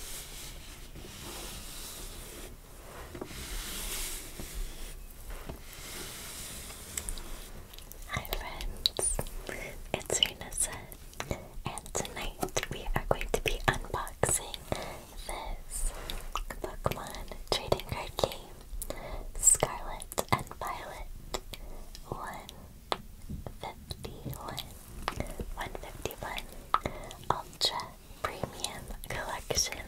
Hi friends, it's Renessa and tonight we are going to be unboxing this Pokemon trading card game, Scarlet and Violet 151. 151 Ultra Premium Collection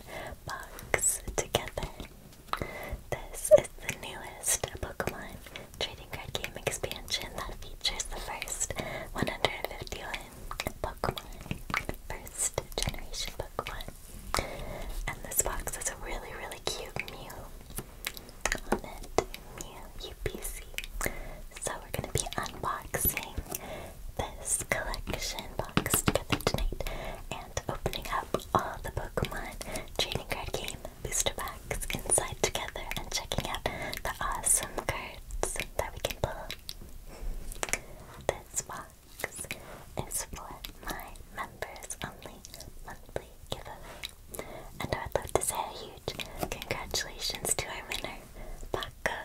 Box Together. This is the newest Pokemon trading card game expansion that features the first 151 Pokemon, first generation Pokemon. And this box has a really, really cute Mew UPC. So we're going to be unboxing this collection box together tonight and opening up all the Pokemon trading card game booster packs inside together and checking out the awesome cards that we can pull. This box is for my members only monthly giveaway. And I would love to see you. Congratulations to our winner, Paco.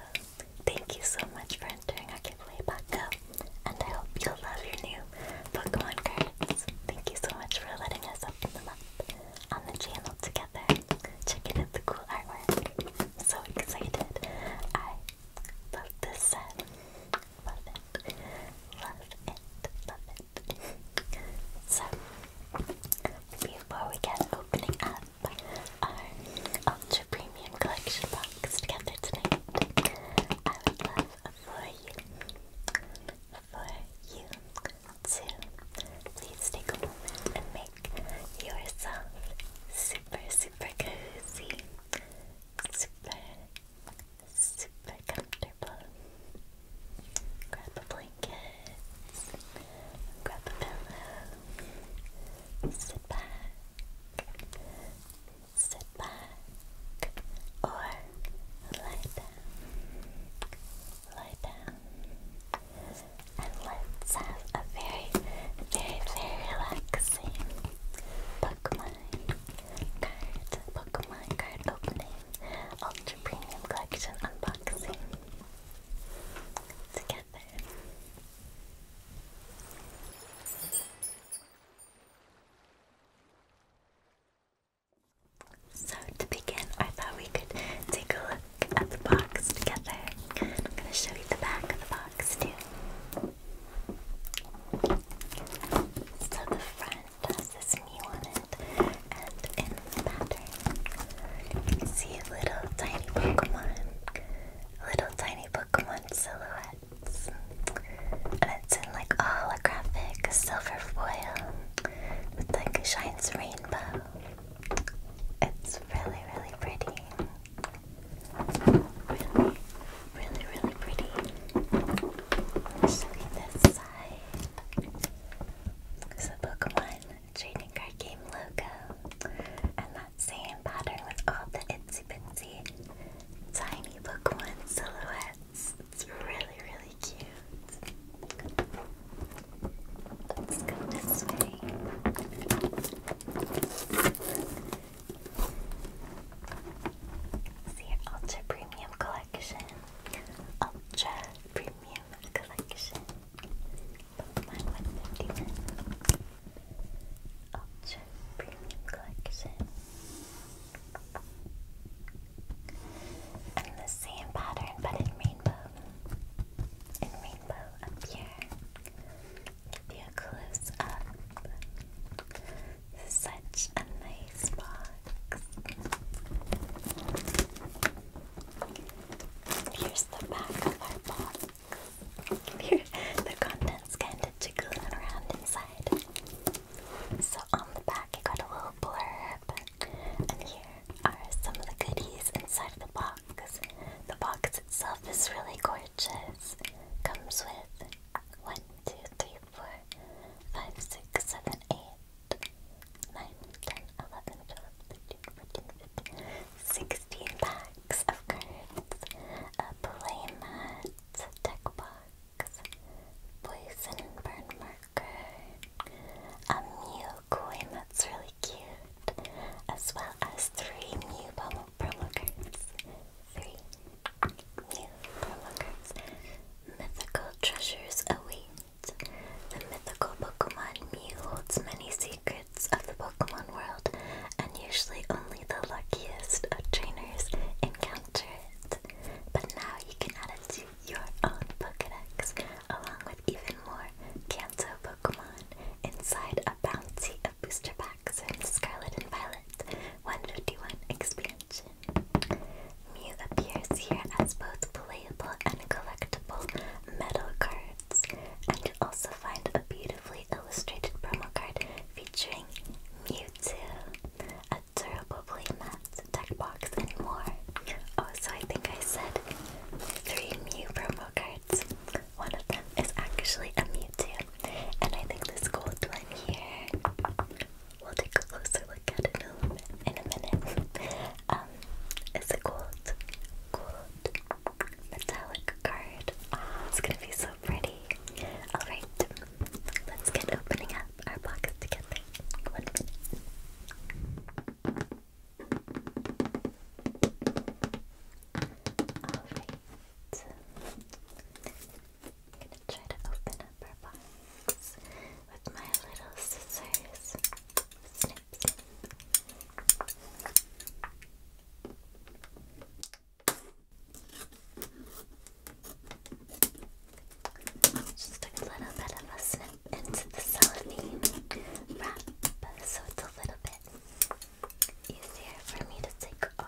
Thank you so much for entering our giveaway, Paco. And I hope you'll love your new Pokemon cards. Thank you so much for letting us open them up on the channel together. checking out the cool artwork. I'm so excited. I love this set. Love it. Love it. Love it. so before we get opening up our oh, Ultra Premium Collection box together tonight. I would love for you, for you to please take a moment and make yourself super, super cozy, super, super comfortable. Grab a blanket. Grab a pillow. Sit back. Sit back. Or lie down. Lie down. And let's have a very, very, very relaxing Pokemon card, Pokemon card opening, Ultra Premium Collection unboxing together. So to begin, I thought we could take a look at the box together. I'm gonna show you the back of the box too. So the front has this knee on and in the pattern see little tiny Pokemon, little tiny Pokemon silhouettes. And it's in like a holographic silver foil with like a shines rainbow. It's really, really pretty. Really, really, really pretty. let look at this side. It's a Pokemon trading card game logo and that same pattern with all the itsy bitsy tiny book one silhouettes. It's really, really cute. Let's go this way. See Ultra Premium Collection. Ultra Premium Collection my 151 Ultra Premium Collection. And the same pattern but in rainbow. In rainbow up here. Give you a up. Such a nice box. Here's the back of our box. the contents kind of jiggling around inside. So on the back, I got a little blur, but here are some of the goodies inside the box. The box itself is really gorgeous. Comes with one, two, three, four, five, six, seven, eight. 9, 10, 11, 12, 16 packs of cards, a playmat, deck box, poison burn marker, a Mew coin that's really cute, as well as three new promo, cards, three Mew promo cards. Mythical treasures await. The mythical Pokemon Mew holds many secrets of the Pokemon world, and usually only the luckiest of trainers encounter it. But now you can add it to your own Pokedex, along with even more Kanto Pokemon, inside a bounty of booster packs in Scarlet and Violet 151 expansion. Mew appears here as both playable and collectible metal cards. And you'll also find a beautifully illustrated promo card featuring Mewtwo, a durable playmat, deck box, and more. Oh, so I think I said three Mew promo cards. One of them is actually a Mewtwo, and I think this gold one here. We'll take a closer look at it in a, minute. um, it's gold metallic card. it's gonna be so pretty. Alright, let's get opening up our box together. One minute. I'm gonna try to open up our box with my little scissors snip, snip. Just a little bit of a snip into the cellophane wrap so it's a little bit easier for me to take off.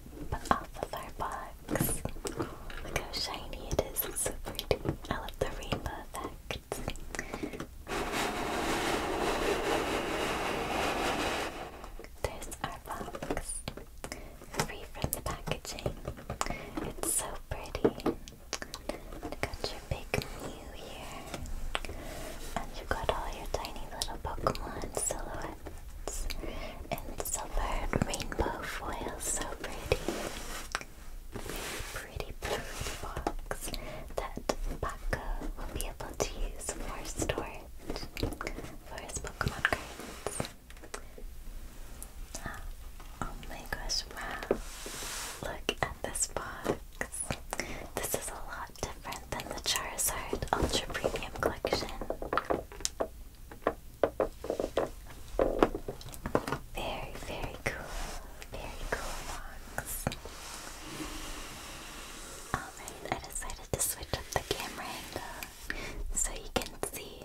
off of our box. Look how shiny it is, it's so pretty. I love the rainbow effect. There's our box. Free from the packaging. It's so pretty. You got your big Mew here. And you got all your tiny little Pokemon silhouettes ones and silver rainbow foil. So pretty. Pretty, pretty box that Paco will be able to use for storage for his Pokemon cards. Ah, oh, my gosh, wow. Look at this box. This is a lot different than the Charizard Ultra Premium Collection. Very, very cool. Very cool box. Oh, I decided to switch up the camera angle uh, so you can see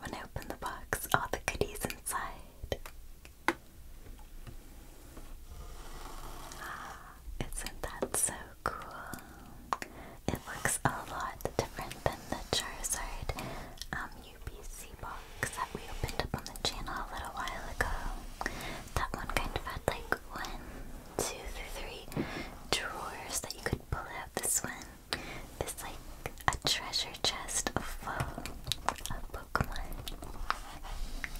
when I open the box all the goodies inside. Ah, isn't that so cool. It looks a lot different than the Charizard um, box that we opened up on the channel a little while ago. That one kind of had like one, two, three drawers that you could pull out. This one is like a treasure chest full of um, Pokemon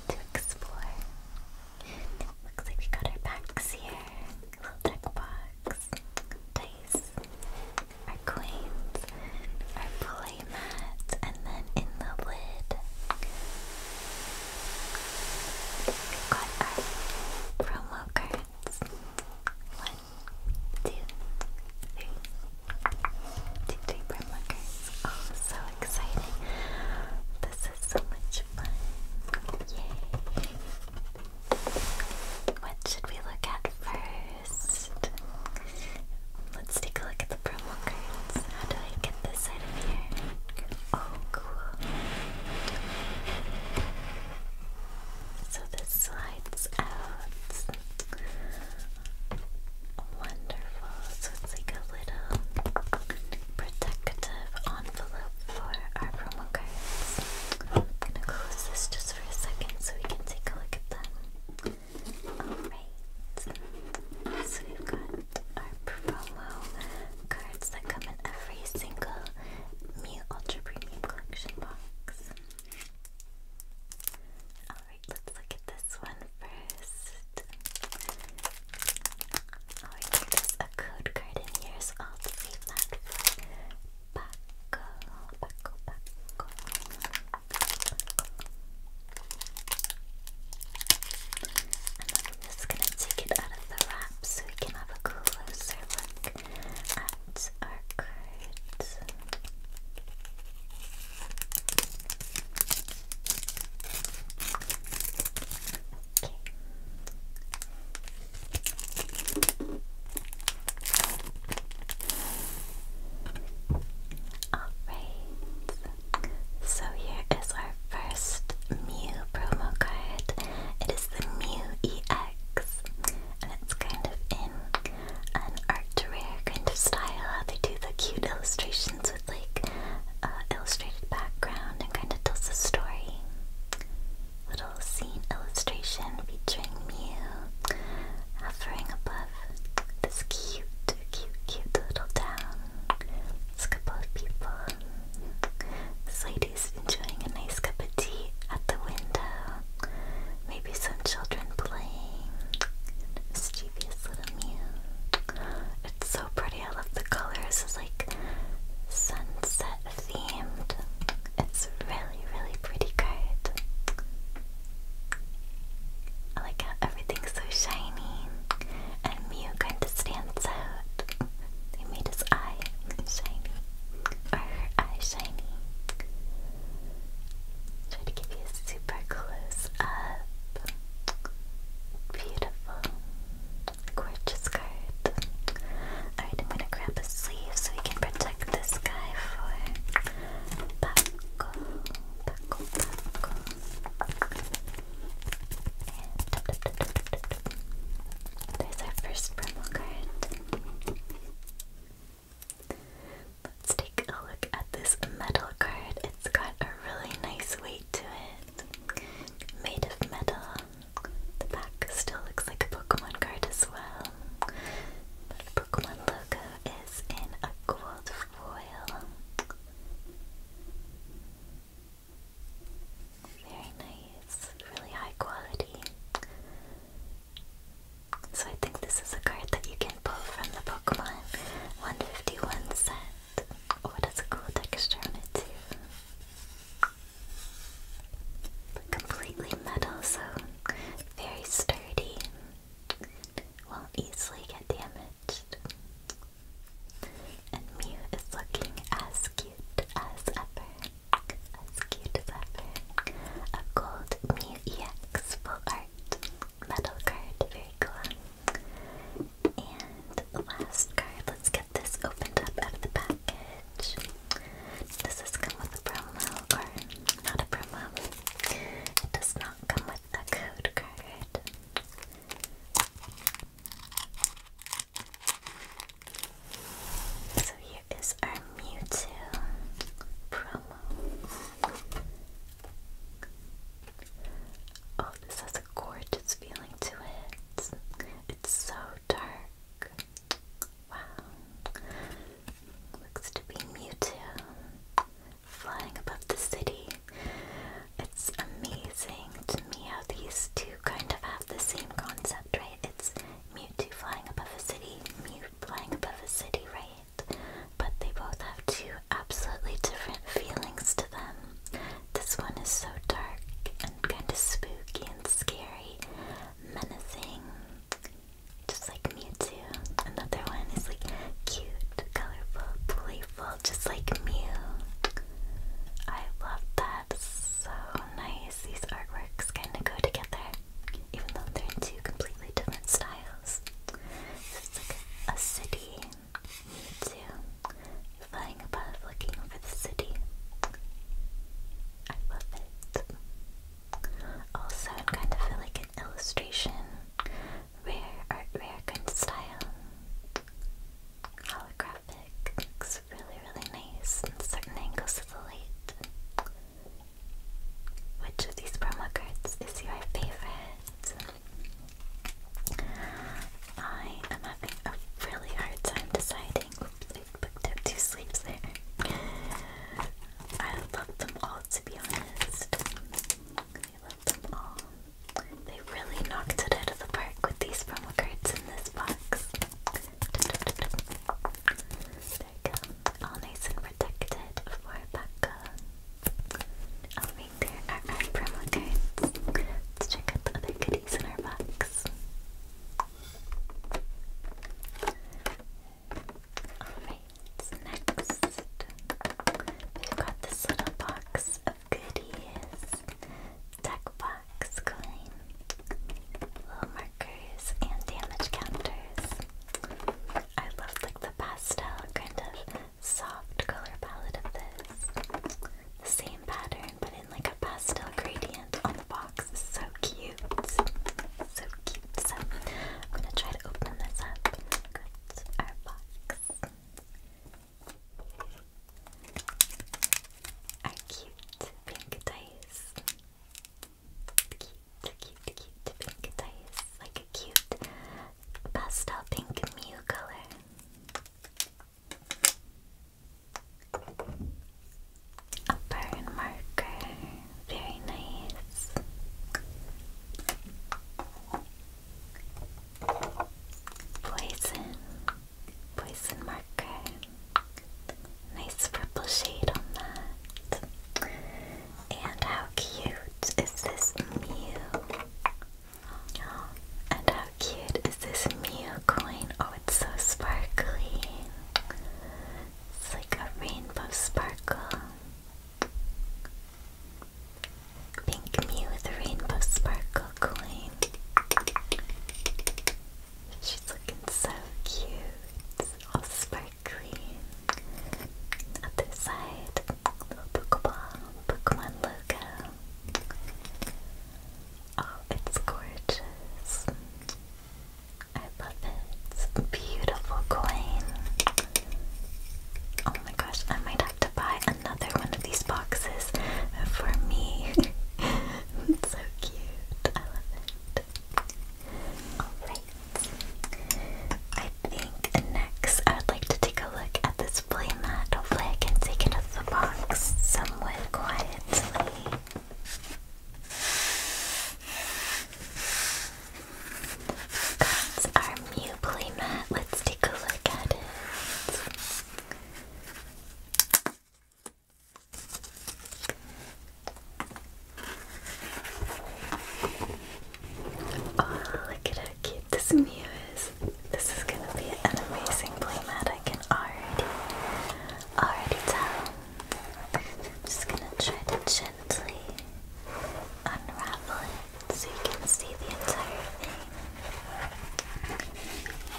to explore. Looks like we got our packs here. Little deck box six Our coins, our playmat, and then in the lid we've got our promo cards. One, two, three. Oh, so exciting. This is so much fun. What should we look at first? Let's take a look at the promo cards. How do I get this out of here? Oh, cool. So this slides out. Wonderful. So it's like a little protective on for our promo cards. I'm gonna close this just for a second so we can take a look at them. Alright, so we've got our promo cards that come in every single Mew Ultra Collection box. Alright, let's look at this one first. Alright, oh, there's a code card in here, so i Paco, Paco, I'm just gonna take it out of the wrap so we can have a closer look at our cards. Alright, so here is our first Mew promo card. It is the Mew EX, and it's kind of in an art rare kind of style. they do the cute illustrations with like uh, illustrated background and kind of tells a story little scene illustration featuring Mew hovering above this cute, cute, cute little town. It's a couple of people. This lady's enjoying a nice cup of tea at the window. Maybe some children playing. Mischievous little Mew. It's so pretty. I love the colors. It's like sunset themed. It's really, really pretty Good. I like how everything's so shiny, and Mew kind of stands out. They made his eye shiny, or her eye shiny. Try to give you a super close up. Beautiful gorgeous card. Alright, I'm gonna grab a sleeve so we can protect this guy for Paco, Paco, Paco. And There's our first promo card. Let's take a look at this metal card. It's got a really nice weight to it. Made of metal. The back still looks like a Pokemon card as well. But the Pokemon logo is in a gold foil. Very nice, really high quality. So I think this is a card that you can pull from the Pokemon 151 set. Oh, it a cool texture too. Completely metal, so very sturdy. Won't easily get damaged. And Mew is looking as cute as ever. As cute as ever. A gold Mew EX full art metal card. Very cool. And the last card, let's get this opened up of the package. Does this come with a promo or not a promo? It does not come with a code card. So here is our Mewtwo promo. Oh, this has a gorgeous feeling to it. It's so dark. Wow. Looks to be Mewtwo flying above the city. It's amazing to me how these two kind of have the same concept, right? It's Mewtwo flying above a city, Mew flying above a city, right? But they both have two absolutely different feelings to them. This one is so dark and kind of spooky and scary, menacing, just like Mewtwo. Another one is like cute, colorful, playful, just like Mew. I love that. So nice. These artworks kind of go together, even though they're in two completely different styles. So it's like a, city, Mewtwo, flying above, looking over the city. I love it. Also, I'm going to feel like an illustration. Rare art, rare good style. Holographic. Looks really, really nice certain angles of the light. Which of these promo cards is your favorite? I am having a really hard time deciding sleeping. Oops, I two sleeps there. I love them all, to be honest. I love them all. They really knocked it out of the park with these promo cards in this box. There you go. All nice and protected for Becca. Oh, right are our promo cards. Let's check out the other goodies in our box. Alright, next we've got this little box of goodies. Deck box, coin, little markers, and damage counters. I love like the pastel kind of soft color palette of this. same pattern, but like a pastel gradient on the box. So cute. So cute. So I'm gonna try to open this up. our box. Our cute pink dice. Cute, cute, cute pink dice. Like a cute pastel pink Mew color. A burn marker, very nice. Poison, poison marker, nice purple shade on that. And how cute is this Mew? and how cute is this Mew coin? Oh, it's so sparkly. It's like a rainbow sparkle. Pink with rainbow sparkle coin. She's looking so cute. All sparkly. Other side. Little Pokeball. Pokemon logo. Oh, it's gorgeous. I love it. Beautiful coin. Oh my gosh, I might have to buy another one of these boxes for me. it's so cute. I love it. Alright. I think next I would like to take a look at this playmat. Hopefully I can take it out of the box somewhat quietly. That's our new playmat. Let's take a look at it. Oh, look at how cute this Mew is. This is gonna be an amazing playmat. I can already, already tell. I'm just gonna try to gently unravel it so you can see the entire thing.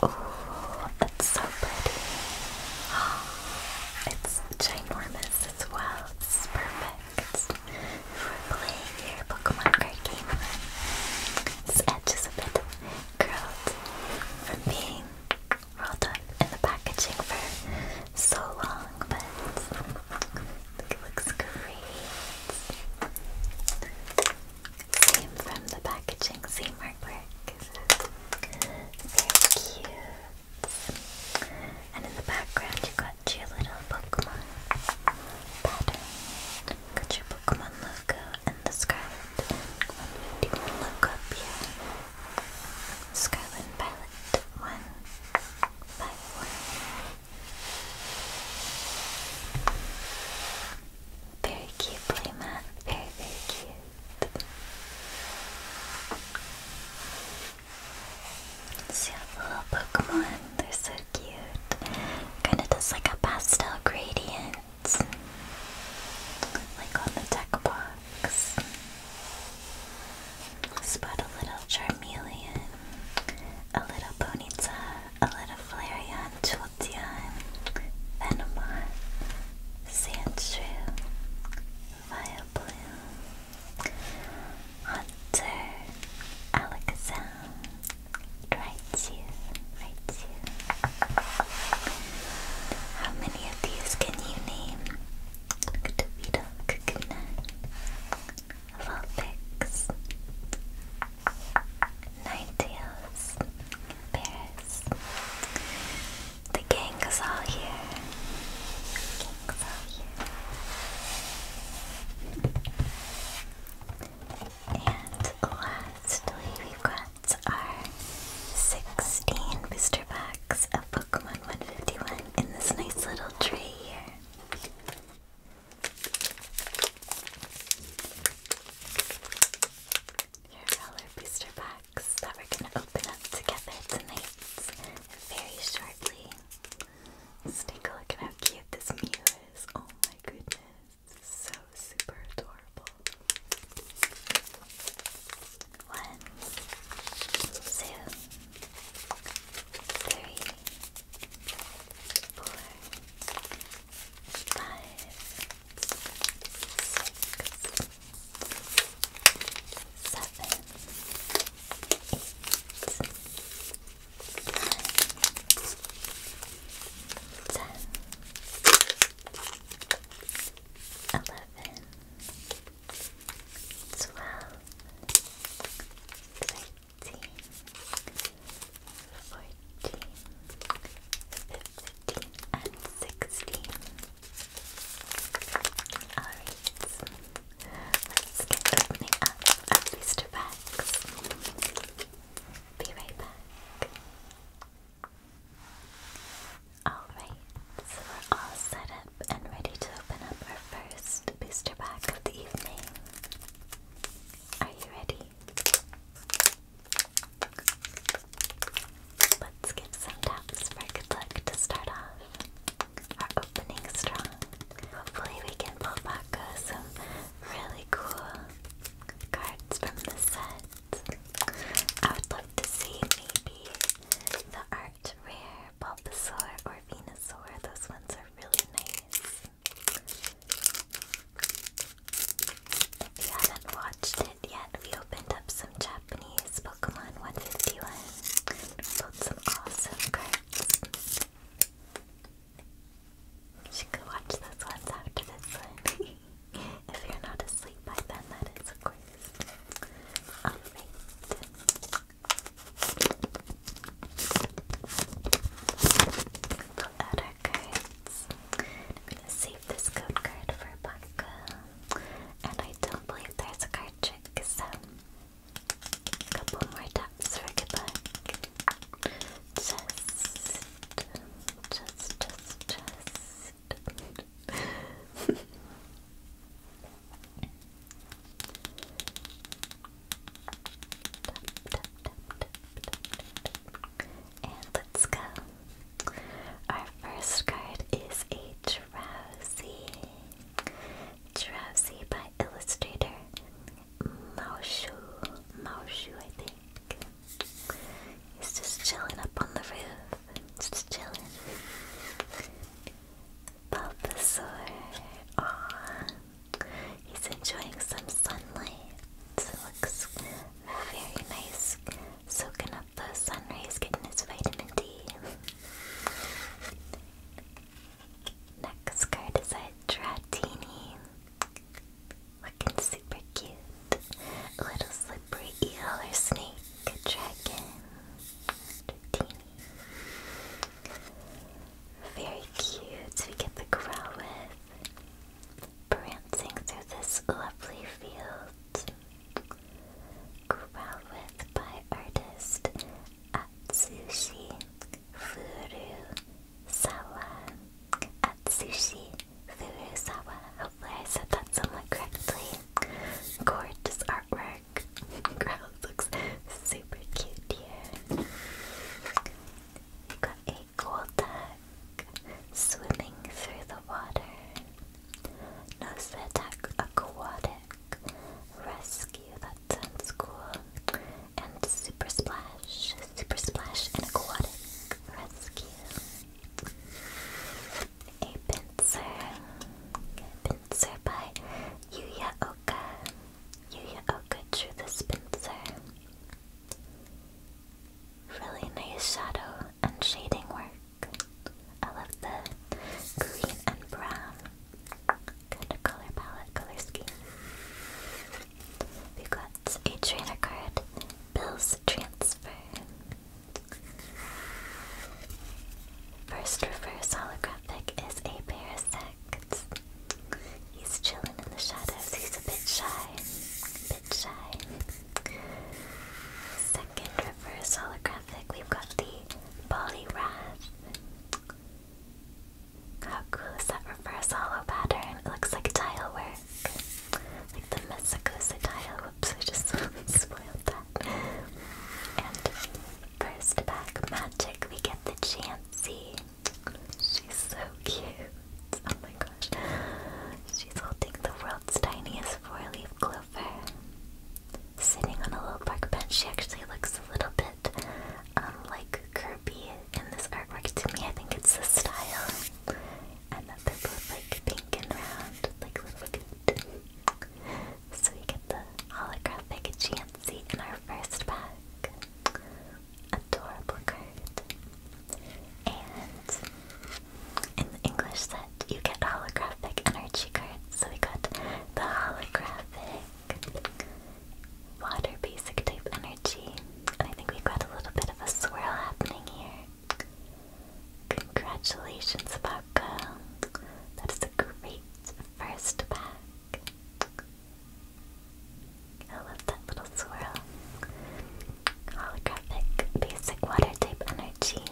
Oh, it's so pretty. It's ginormous as well. It's perfect for playing your Pokemon card game. This edge is a bit curled from being we're all done in the packaging for so long, but it looks great. Same from the packaging, same artwork. Very cute. And in the background, you got your little Pokemon pattern. Got your Pokemon logo and the scarf. do one look up here. Let's go and palette one by one. Very cute, Playmat. Very, very cute. See all little Pokemon, they're so cute. Kinda does like a pastel gradient. Like on the deck bar box. Spot a little Charmeleon, a little Ponyta, a little Flareon, Jolteon, Venomoth, Sandshrew, Vileplume, Hunter, Alakazam, Raichu, Raichu, how many of these can you name? Kutubita, Kakuna, Vulpix, Ninetales, Paris. The gang is all here. The gang is all here. And lastly, we've got that's our 16 booster packs of Pokemon 151 in this nice little tray here. Here are our booster packs that we're going to open up together tonight very shortly. Let's take a look at how cute this Mew is. Oh my goodness. So super adorable. One, two, three, four, five, six, seven, eight, nine, ten. 11 eleven, twelve, thirteen, fourteen, fifteen, and sixteen. Alright, let's get opening up our booster packs. Be right back. Alright, so we're all set up and ready to open up our first booster pack of the evening. Are you ready? Let's give some taps for good luck to start off. Our opening strong. Hopefully we can pull back uh, some really cool cards from the set. I would like to see maybe the art rare Bulbasaur or Venusaur. Those ones are really nice. If you haven't watched it yet, we opened up some Japanese Pokemon 151. Sold some awesome cards. should go watch those ones after this one. If you're not asleep by then, that is of course. Alright. Pull out our cards. I'm gonna save this code card for Baka. And I don't believe there's a card trick, so a couple more taps for good Just, just, just, just. And let's go. Our first card is a drowsy. Drowsy by illustrator Maoshu. Maoshu, I think. He's just chilling up on the roof. Just chilling. Bulbasaur. Aww. He's enjoying some sunlight. It looks very nice. Soaking up the sun getting his vitamin D. Next card is a Looking super cute. A little slippery eel or snake, dragon, Very cute. We get the Growlithe prancing through this lovely field. Growlithe by artist Atsushi Furusawa. Atsushi Furusawa. Hopefully I said that somewhat correctly. Gorgeous artwork. Grouse looks super cute here. got a gold duck swimming through the water. Nosvetak aquatic rescue. That sounds cool. And super splash. Super splash and aquatic rescue. A pincer. A by Yuya Oka. Yuya Oka drew this pincer. Really nice shadow and shading work. I love the green and brown kind of color palette, color scheme. we got a trainer card, Bill's Transfer. First reverse holographic is a sex. He's chilling in the shadows. He's a bit shy. Bit shy. Second reverse holographic, we've got the Poliwrath. How cool is that reverse hollow pattern? It looks like tile work. Like the Mesakusa tile. Whoops, I just spoiled that. And first pack magic, we get the Chansey. She's so cute. Oh my gosh. She's holding the world's tiniest four-leaf clover. Sitting on a little park bench, she actually looks a little bit um, like Kirby in this artwork to me. I think it's the style. And that they like pink and round, like little cute. So we get the holographic energy in our first pack. Adorable card. And in the English set, you get holographic energy cards. So we got the holographic water basic type energy. And I think we've got a little bit of a swirl happening here. Congratulations, Marco. That is a great first pack. I love that little swirl. Holographic basic water type energy.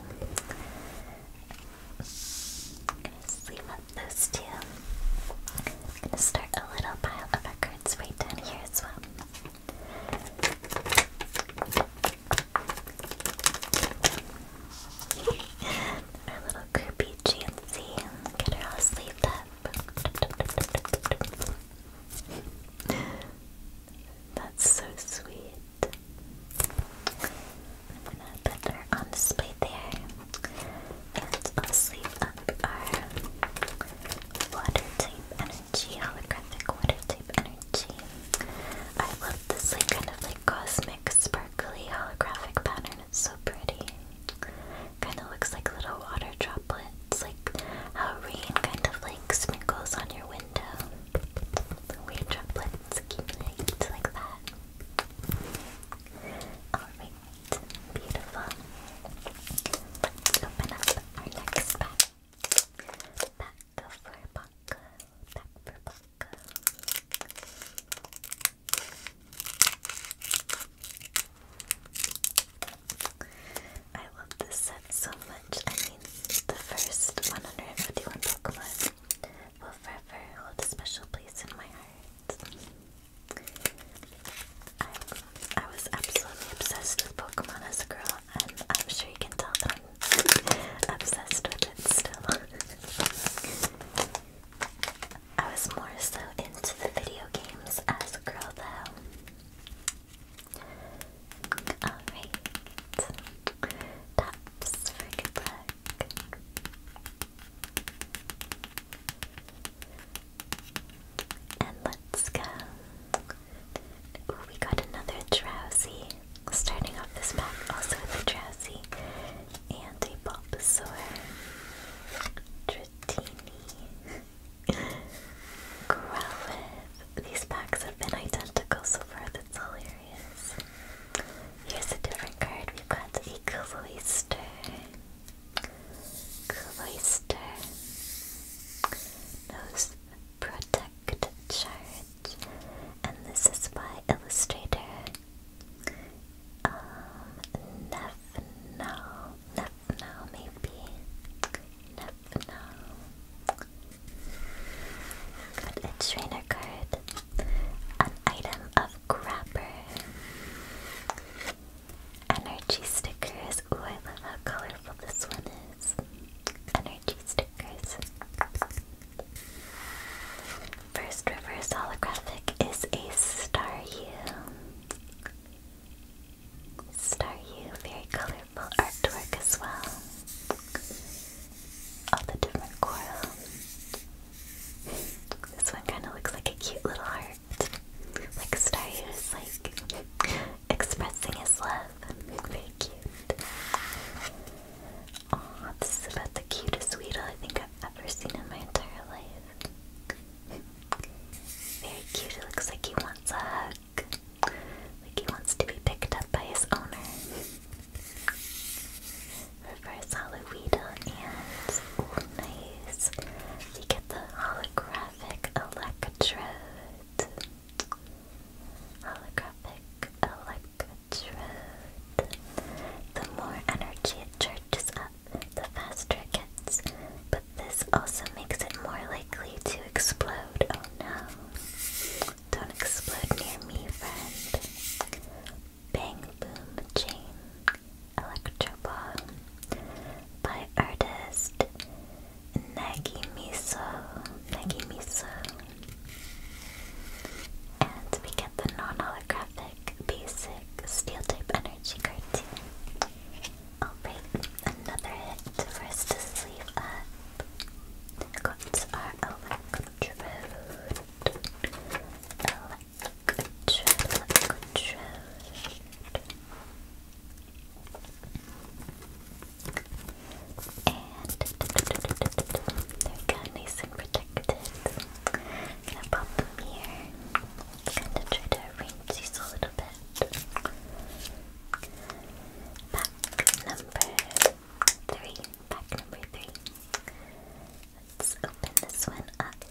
gonna sleeve up those 2 going gonna start a little pile of records right down here as well. Our little groupie Chancy. Get her all sleeved up. That's so sweet. gonna put her on display there. And i up our water type energy, holographic water type energy. I love this kind of like cosmic sparkly holographic pattern. It's so pretty. Kind of looks like little water droplets, like how rain kind of like sprinkles on your window. The weird droplets accumulate like that. Alright, beautiful. Let's open up our next pack. Back for Bonka. Back for Bonka. I love this set so much. I mean, the first 151 Pokemon will forever hold a special place in my heart. I, I was absolutely obsessed with Pokemon as a girl, and I'm sure you can tell that I'm obsessed with it still. I was more so into the video games as a girl though. Alright. Tops for good And let's go. we got another drowsy. Starting off this pack also with a Drowsy and a Bulbasaur, tritini, Growlithe. These packs have been identical so far, that's hilarious. Here's a different card, we've got a Cloyster. Cloyster. Nose protect charge, and this is by Illustrator um, Nefno, maybe, Nefno, got trainer card, an item of grabber, energy stickers, ooh I love how colorful this one is, energy stickers, First reverse holographic is a Star U. very colorful artwork as well. All the different coral. This one kind of looks like a cute little heart. Like Star U like expressing his love. Very cute. Aw, this is about the cutest Weedle I think I've ever seen in my entire life. Very cute, it looks like he wants a hug. Like he wants to be picked up by his owner. Reverse Hollow Weedle and, nice, we get the holographic Electrode. Holographic electrode. The more energy it charges up, the faster it gets. But this also makes it more likely to explode. Oh no. Don't explode near me, friend. Bang Boom Chain Electrobomb by artist Nagimiso. Nagimiso. And we get the non-holographic basic steel type energy cartoon. Alright, another hit for us to sleeve up. Got our electrode. Electrode, electrode. And they're kind of nice and protected. gonna pop them here. Kind of try to arrange these a little bit. Pack number three. Pack number three. Let's open this one up.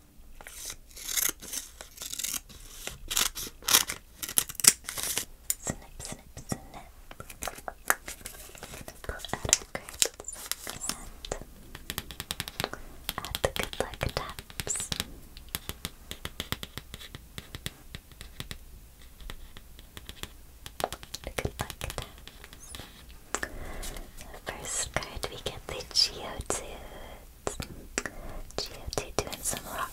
Snip, snip, snip. Pull out our cards add the good luck taps. The good luck taps. first card we get the geo two. Geoty doing some rock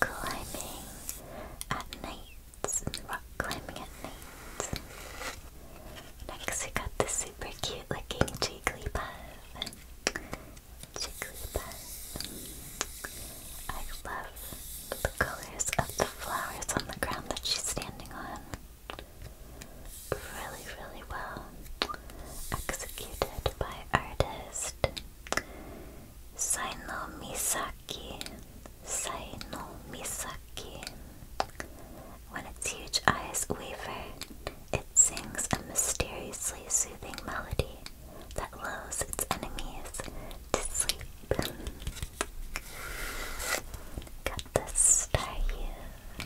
climbing at night. Rock climbing at night. Next, we got this super cute looking Jigglypuff. Jigglypuff. I love the colors of the flowers on the ground that she's standing on really, really well executed by artist Saino Misaki. Saino Misaki. When its huge eyes waver, it sings a mysteriously soothing melody that lulls its enemies to sleep. Got this star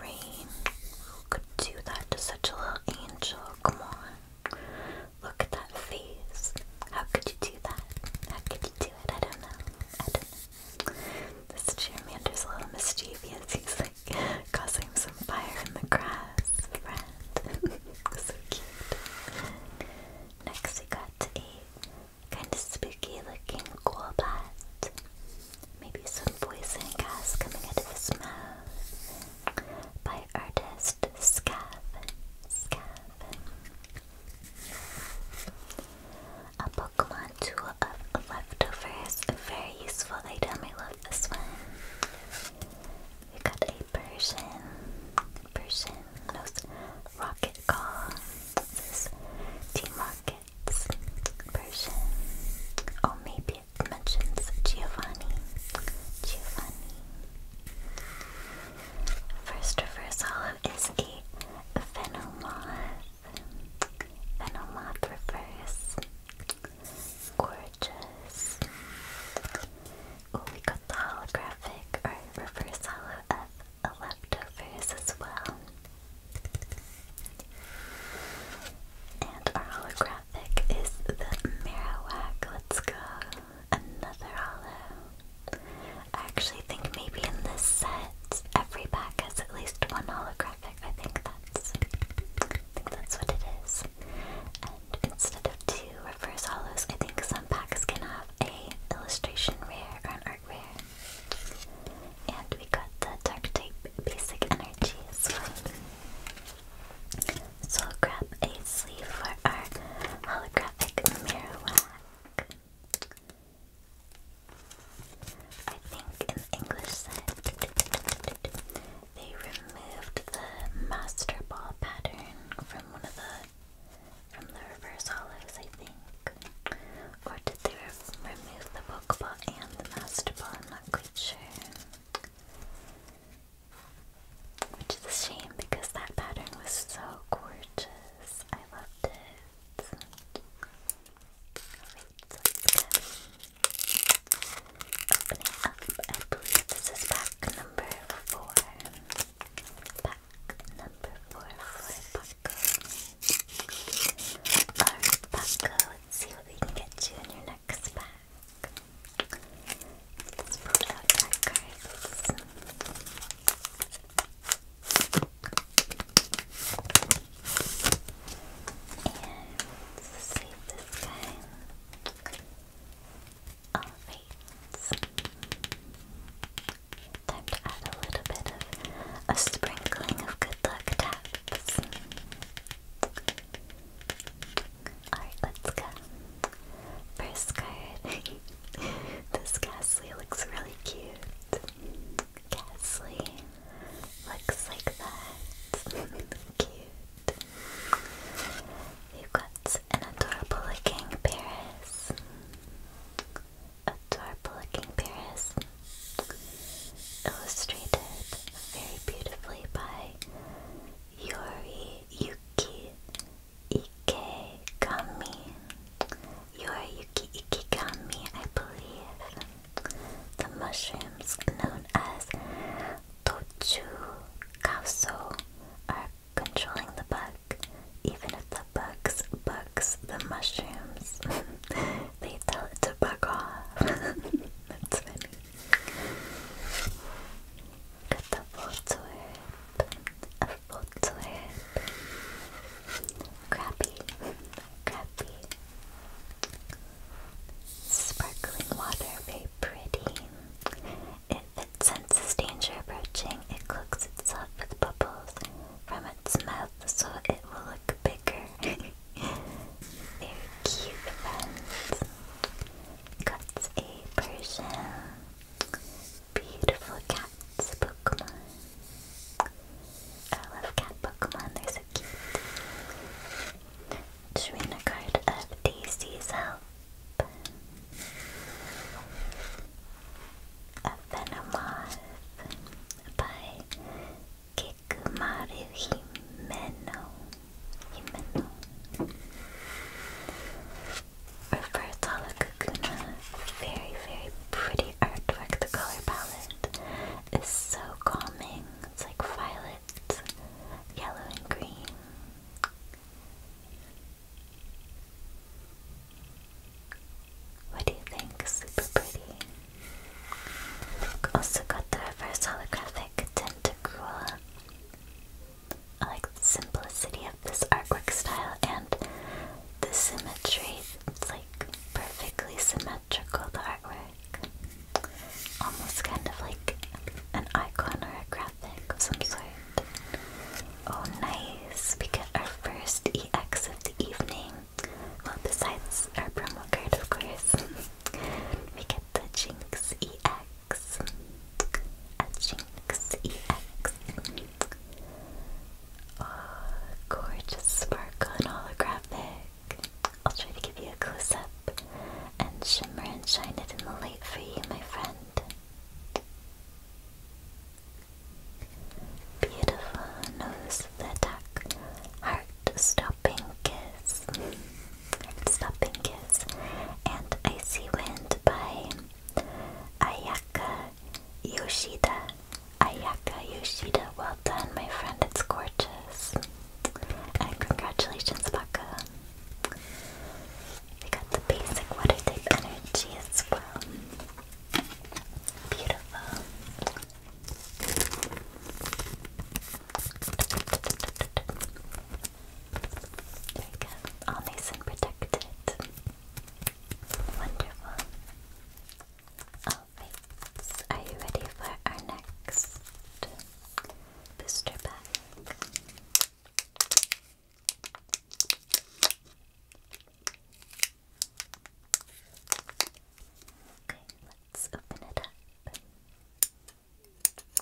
rain. Who could do that to such a little angel? Come on. Look at that face. How could you do that? How could you do it? I don't know. I don't know. This Charmander's a little mischievous. He's like causing some fire in the grass. so cute. Next we got a kind of spooky looking Golbat. Maybe some poison gas coming out of his mouth. By artist Scav. Scav. A Pokemon tool of leftovers. A very useful item. I love this one. We got a Persian. Persian. Knows Rocket Call. This is Team Rockets. Persian. Oh, maybe mentions Giovanni. Giovanni. First reverse hollow is a Venomoth. Venomoth reverse. Gorgeous. Oh, we got the holographic or reverse hollow of Electrovers as well. And our hologram graphic is the Marowak. Let's go. Another holo. I actually think maybe in this set, every pack has at least one holographic. I think that's that's what it is. And instead of two reverse holos, I think some packs can have a illustration rare or an art rare. And we got the Dark Type Basic Energies. So I'll grab a sleeve for our holographic mirror I think in English they removed the master ball pattern from one of the from the reverse hollows, I think. Or did they remove the Pokeball and the master ball? I'm which is a shame because that pattern was so gorgeous. I loved it. Wait, up. I believe this is pack number four. Pack number four for Paco. Alright, Paco, see what we can get you in your next pack back. Let's pull out our cards. And save this guy. Alright. Time to add a little bit of a sprinkling of good luck taps. Alright, let's go. First card. this Ghastly looks really cute. Ghastly looks like that. cute. You've got an adorable looking Paris. Adorable looking Paris. Illustrated very beautifully by Yori Yuki Ikegami. Yori Yuki Ikegami, I believe. The mushrooms known as Tochu Kauso are controlling the bug. Even if the bugs bugs the mushrooms, they tell it to bug off. That's funny. Get a forehead, a forehead. Crappy, crappy. Sparkling water, very pretty. If it senses danger approaching, it cloaks itself with bubbles from its mouth so it will look bigger. They're cute ones. Got a Persian. Beautiful cats Pokemon. I love cat Pokemon, they're so cute. Drawing a card of Daisy's help. A Venomoth by Hikmaru Himeno. Himeno. Robertala Kakuna. Very, very pretty artwork. The color palette is so calming. It's like violet, yellow, and green. What do you think? Super pretty. Also got the reverse holographic Tacrua. I like simplicity of this artwork style and the symmetry. It's like perfectly symmetrical, artwork. Almost kind of like an icon or a graphic of some sort. Oh, nice. We get our first EX of the evening. Well, besides our promo card, of course. we get the Jinx EX. At Jinx EX. Oh, gorgeous sparkle and holographic. I'll try to give you a close up and shimmer and shine it in the light for you, my friend. Beautiful nose the attack. Heart star Stopping Kiss. Stopping Kiss. And Icy Wind by Ayaka Yoshida. Ayaka Yoshida. Well done, my friend. It's gorgeous. And congratulations, Baka. We got the basic water type energy as well. Beautiful all nice and protected. Wonderful. Alright, are you ready for our next booster um, pack? Um, okay, let's open it up let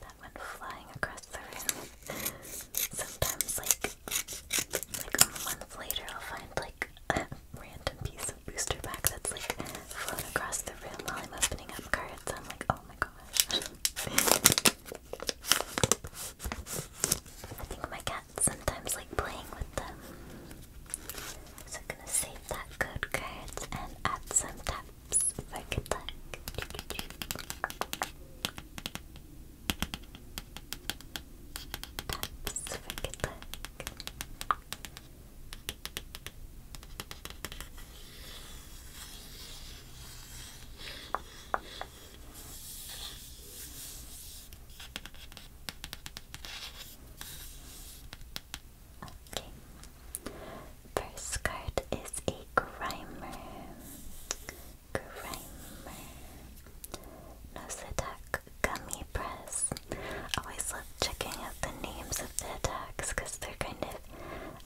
That went flying across the room. Sometimes, like, like a later, I'll find like a random piece booster pack that's like flown across the room while I'm opening up cards. I'm like, oh my gosh. I think my cat's sometimes like playing with them. So I'm gonna save that code card and add some taps for good luck. Okay. First card is a Grimer. Grimer. Noseattack Gummy Press. Always love checking out the names of the attacks because they're kind of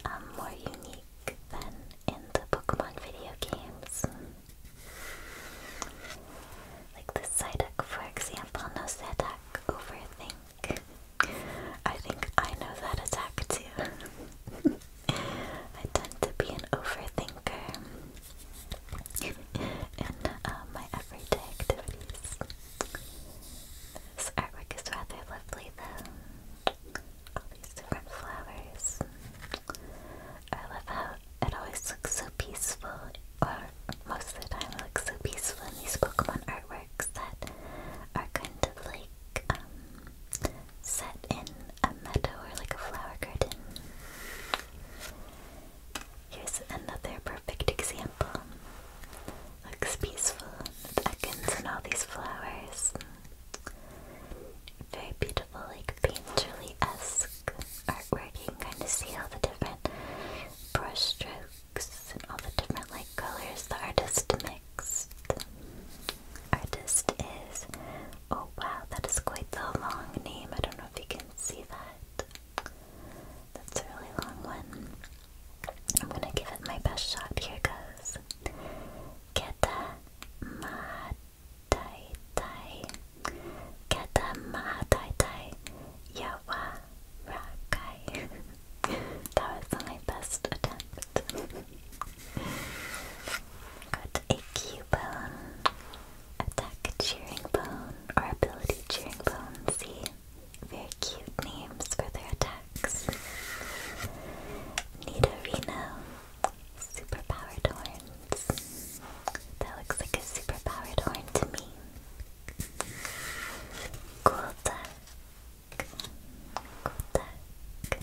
um, more unique than in the Pokemon video games. Like this Psyduck, for example, no Psyduck, overthink. I think I know that attack too. I tend to be an overthinker in uh, my everyday activities. This artwork is rather lovely though. All these different flowers. I love how it always looks so peaceful, or most of the time it looks so peaceful in these Pokemon artworks that are kind of like um, set in a meadow or like a flower garden. Here's another perfect example temple. Looks peaceful with Ekans and all these flowers. Very beautiful, like painterly esque artwork. You kind of see all the different brush and all the different like colors the artist mixed. Artist is oh wow, that is quite the long name. I don't know if you can see that. That's a really long one. I'm gonna give it my best shot. Here goes. Keta Mahatai Tai. Keta Mahatai Tai. Yawa Rakai. that was my best attempt. Got a Q-bone, attack cheering bone, or ability cheering bone, see? Very cute names for their attacks. Nidorino, superpowered horns. That looks like a superpowered horn to me. Cool duck. Cool duck.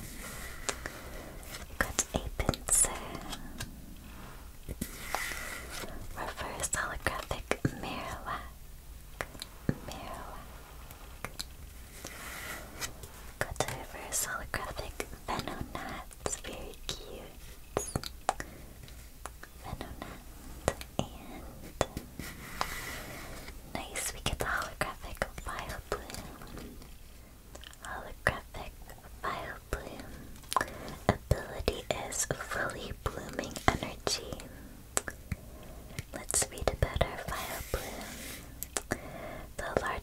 We a holographic Marowak. Marowak, got over holographic Venonat, very cute. Venonat, and nice, we get the holographic Vile Bloom. Holographic Vile Bloom ability is fully blooming energy. Let's read about our fire bloom. The, large,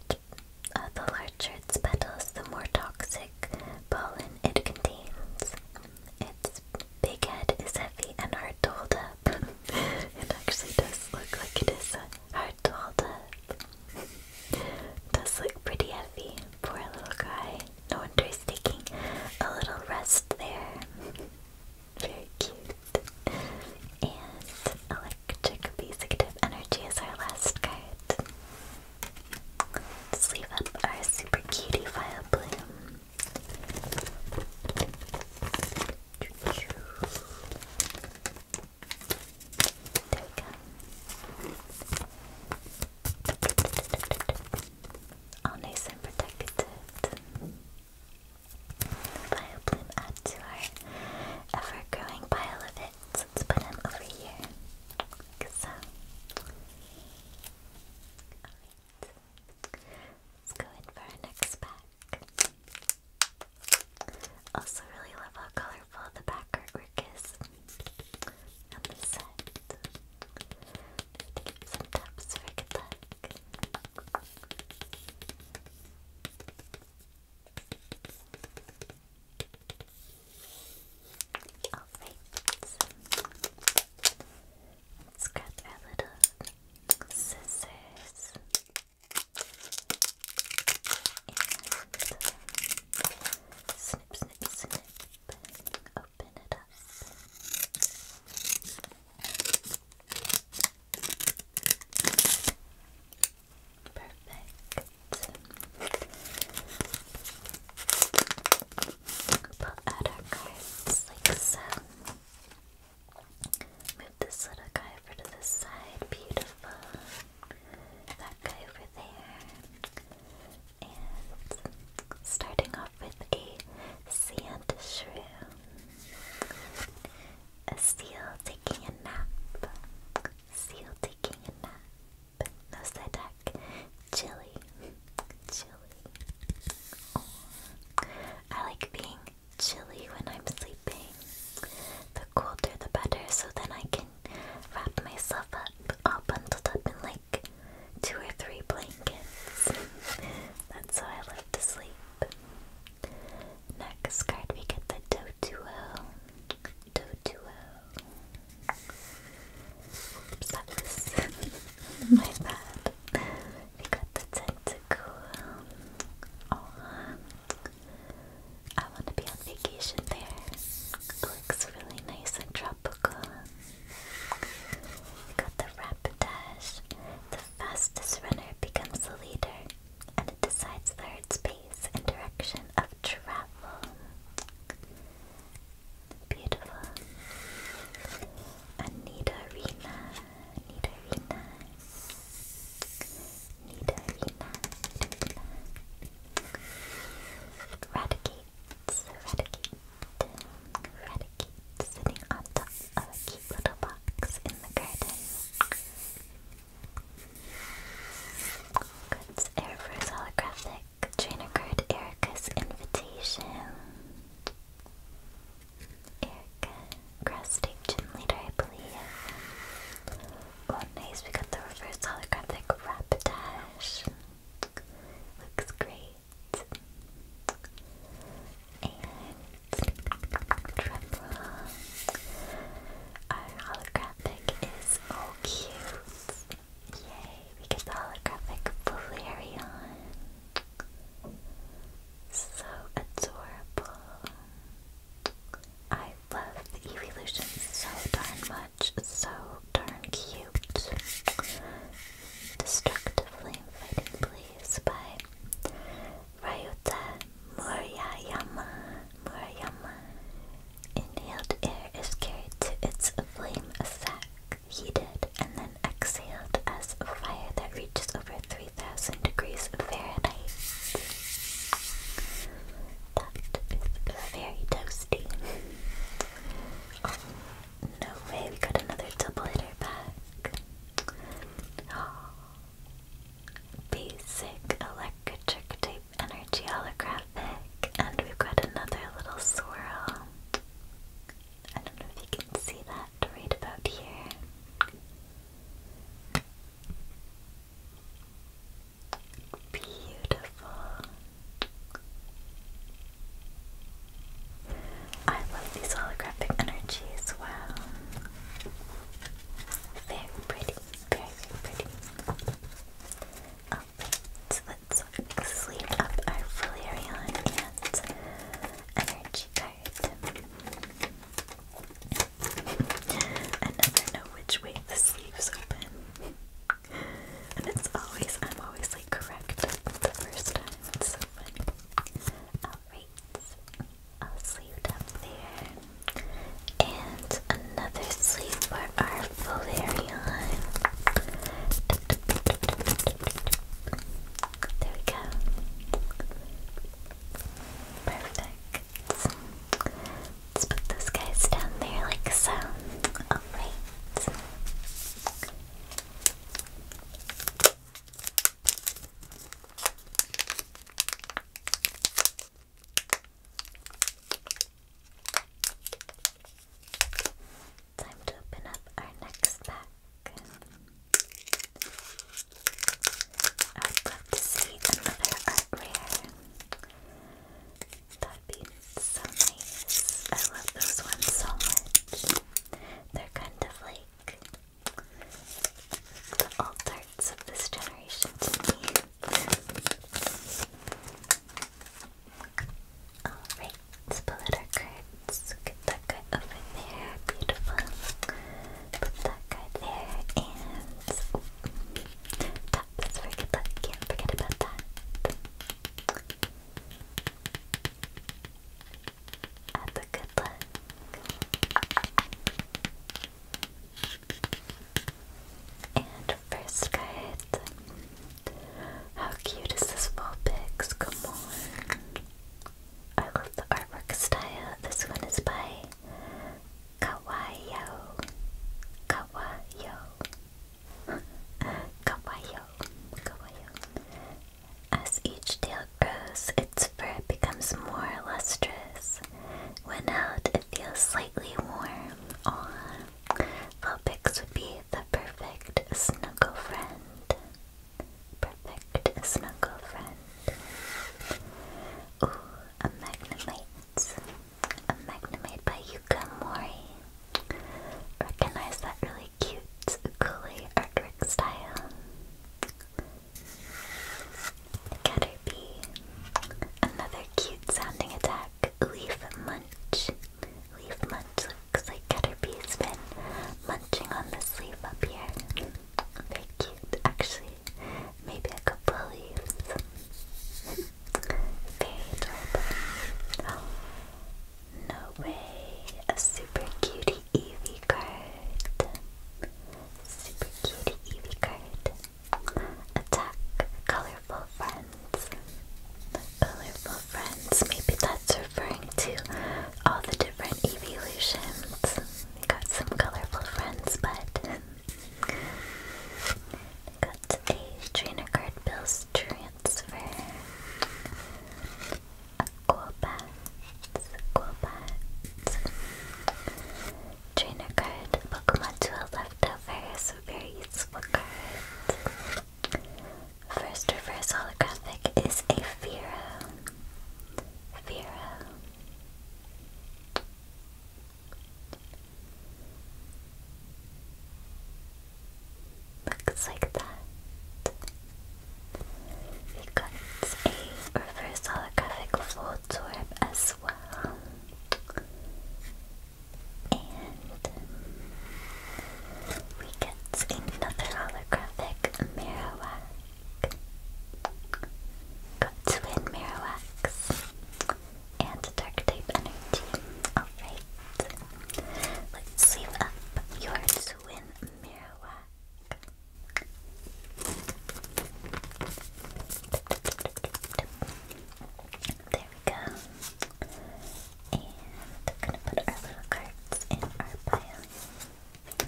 uh, the larger its petals, the more toxic pollen it contains. Its big head is heavy and hard to hold up. it actually does look like it is uh, hard to hold up. does look pretty heavy. Poor little guy. No wonder he's taking a little rest there. Very cute. And electric basic energy is our last card. let up our super cutie file bloom. There we go. All nice and protected. Vileplume add to our ever-growing pile of hits. Let's put him over here. so. Let's go in for our next pack. Also really love how colorful the back artwork is on this set. Need some taps for good luck. Alright, let's grab our little scissors and snip, snip, snip, open it up. Perfect. Pull out our cards like Move this little guy over to the side. Beautiful. That guy over there. And starting off with a sand shroom. A seal taking a nap. Seal taking a nap. No Sedak. Chili. Chili. I like being chilly when I'm sleeping. The colder the better, so then I can wrap myself up, all bundled up in like two or three blankets. That's how I like to sleep. Next card, we get the Doduo. Oops, my bad. We got the Tentacool. Oh, I want to be on vacation there. It looks really nice and tropical. We got the Rapidash. The fastest runner becomes the leader, and it decides the herd's pace and direction of travel. Beautiful. Nidorina, Nidorina, Nidorina, Nidorina. Radicate, eradicate, eradicate, sitting on top of a cute little box in the garden. Good Airverse holographic trainer card Erica's invitation. Erica, cross tape gym leader, I believe. Oh, nice, we got the reverse holographic Rapidash. Looks great. And drumroll. Our holographic is so cute. Yay, we holographic Flareon. So adorable. I love the evolution so darn much. So darn cute. Destructive flame fighting blade series by Ryota Murayama. Murayama. Inhaled air is carried to its flame sac, heated, and then exhaled as fire that reaches over 3000 degrees Fahrenheit. That is very toasty. Oh, no way, we got another double hitter back. Basic electric type energy holographic, and we've got another little swirl. I don't know if you can see that right about here. Beautiful. I love these holographic energy as Very pretty, very, very pretty. so let's sleeve up our Flareon and energy card. I never know which way the sleeves open. And it's always, I'm always like correct the first time. It's so funny. Alright, i sleeve up there. And another sleeve for our Flareon. There we go. Perfect. Let's put those guys down there like so. Alright. Time to open up our next pack. I would love to see another art rare. That'd be so nice. I love those ones so much. They're kind of like the alt of this generation Alright, let our cards. Get that card over there. Beautiful. Put that card there and oh, taps. Forget that. Can't forget about that. Have a good look. And first card. How cute is this Vulpix? Come on. I love the artwork style. This one is by Kawaio. Kawaio. Kawaio. Kawaio. As each tail grows, its fur becomes more lustrous. When out, it feels slightly warm. Aw, Vulpix would be the perfect snuggle friend. Perfect snuggle friend. Ooh, a Magnemite. A Magnemite by Yuka Mori. Recognize that really cute ukulele artwork style. Caterpie. Another cute sounding attack, Leaf Munch. Leaf Munch looks like Caterpie's been munching on this leaf up here. Very cute, actually. Maybe a couple leaves. Very adorable. Oh, no way. A super cutie. Eevee card. Super cute Eevee card. Attack colorful friends. Colorful friends. Maybe that's referring to all the different evolutions. We got some colorful friends, but got a trainer card. Bill's transfer. Aquabats, Aquabats. Trainer card, Pokemon Duel Leftovers, very useful card. First reverse holographic is a Firo. Firo. Looks like that. We got a reverse holographic floor orb as well. And we get another holographic Marowak. Got twin Marowaks and dark type energy. Alright. Let's save up your twin Marowak. There we go. And we're gonna put our little cards in our pile. I think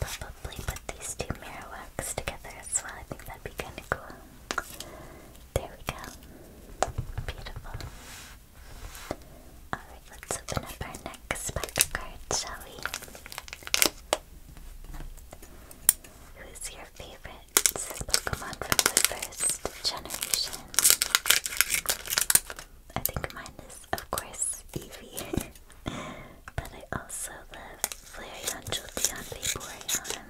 probably put these two Marowaks together as well. I think that'd be kinda cool. There we go. Beautiful. Alright let's open up our next spec card, shall we? Who's your favorite Pokemon from the first generation? I think mine is, of course, Eevee. but I also love Flareon, Jolteon, Vaporeon.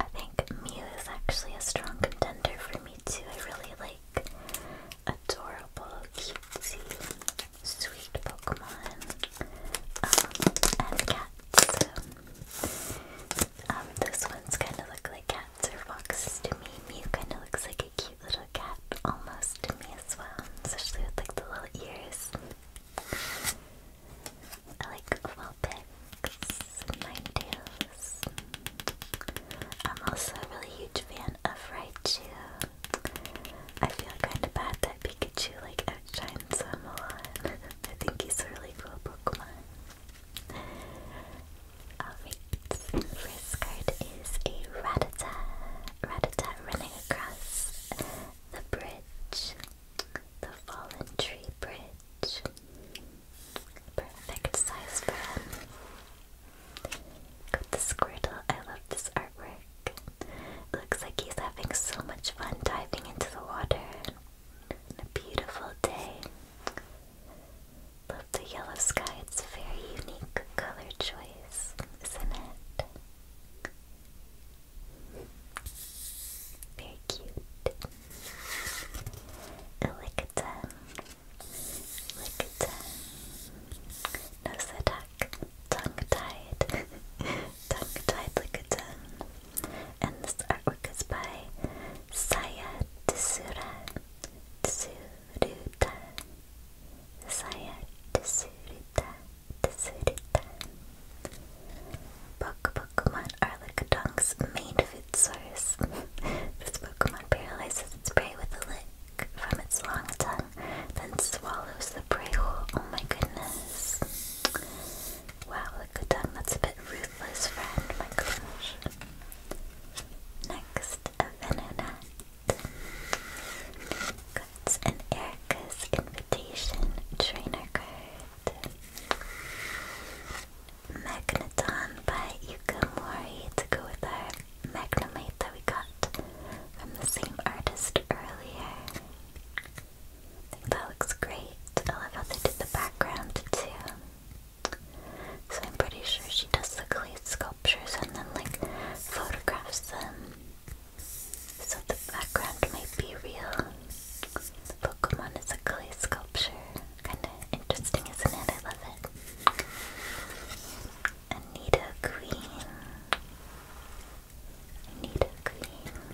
I think Mew is actually a strong contender for me too. I really like adorable, cutesy, sweet Pokemon um, and cats. Um, um, this one's kind of look like cats or foxes to me. Mew kind of looks like a cute little cat almost to me as well, especially with like the little ears. I like Vulpix, Ninetales, I'm also a really huge fan of Raichu. I feel kinda bad that Pikachu like outshines him a lot. I think he's a really cool Pokemon. Oh, Alright, first card is a Ratata. Ratata running across the bridge. The fallen tree bridge. Perfect size for him. Got Squirtle. I love this artwork. looks like he's having so much fun diving into the water a beautiful day. Love the yellow sky. It's a very unique color choice, isn't it? Very cute. Elicata. Oh, like a ten. Nose attack. Tongue tied. tongue tied like a ten. And this artwork is by Saya Tsura. Tsuruta. Saya Tsuruta. Tsuruta. Book Pokemon are Lickitungs' main food source. this Pokemon paralyzes its prey with a lid from its long tongue, then swallows the prey whole. Oh my goodness. Wow, look at that. That's a bit ruthless, friend. My gosh. Next, a Venonat. That's an Erica's Invitation Trainer card. Magneton by Yuka to go with our Magnumite that we got from the same artist earlier. I that looks great. I love how they did the background too. So I'm pretty sure she does the clay sculptures and then like photographs them. So the background might be real. The Pokemon is a clay sculpture. Kinda interesting, isn't it? I love it. Anita Queen. Anita Queen.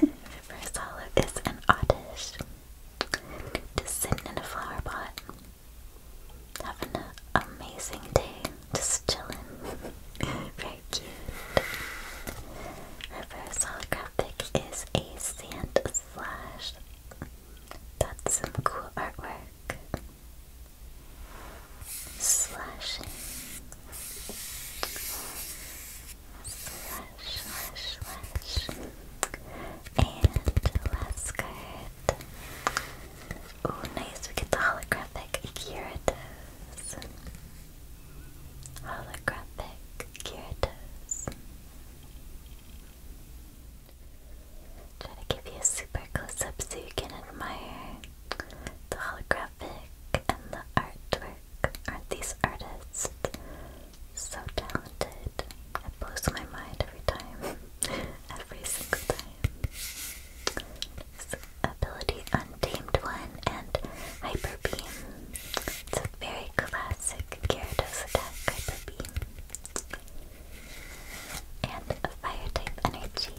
Reverse hollow is an oddish. Just sitting in a flower pot. Having an amazing day. Just chilling. Very cute. Reverse holographic is a sand slash that's some cool artwork. Slashing. Slash, slash, slash. And last card. Oh, nice. We get the holographic Gyarados. Holographic Gyarados. Try to give you a super close up so you can admire the holographic and the artwork. Aren't these artists so talented? It blows my mind every time. every single time. ability Untamed One and Hyper It's a very classic Gyarados attack, Hyper Beam. And a fire type energy.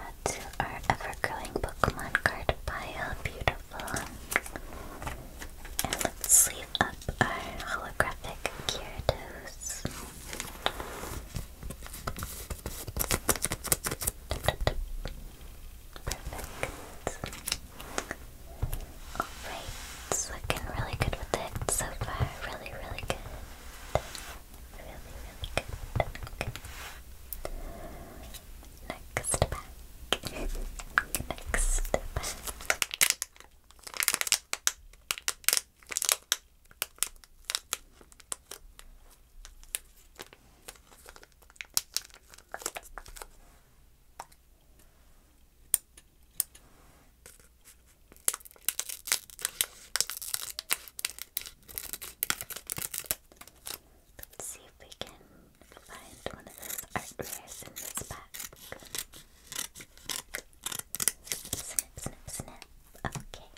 Add to our ever growing Pokemon card pile. Beautiful. And let's sleeve up our holographic Gyarados. Perfect. Alright, it's looking really good with it so far. Really, really good. Really, really good. Next pack. Next pack. Let's see if we can find one of those artwares in this pack. Snip, snip, snip. Okay.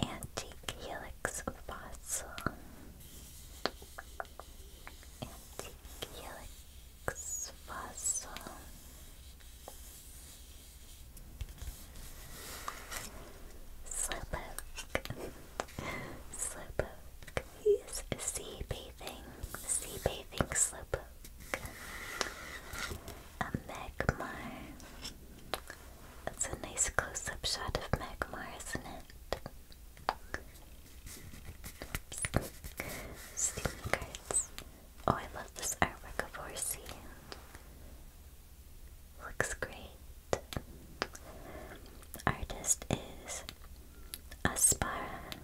Antique helix fossil. Antique helix fossil. Slowpoke. Slowpoke. He's sea bathing. Sea bathing slowpoke. A Megmar. That's a nice close up shot of Magmar, isn't it? Oops. Steaming cards. Oh, I love this artwork of Horsey. Looks great. Artist is Aspara.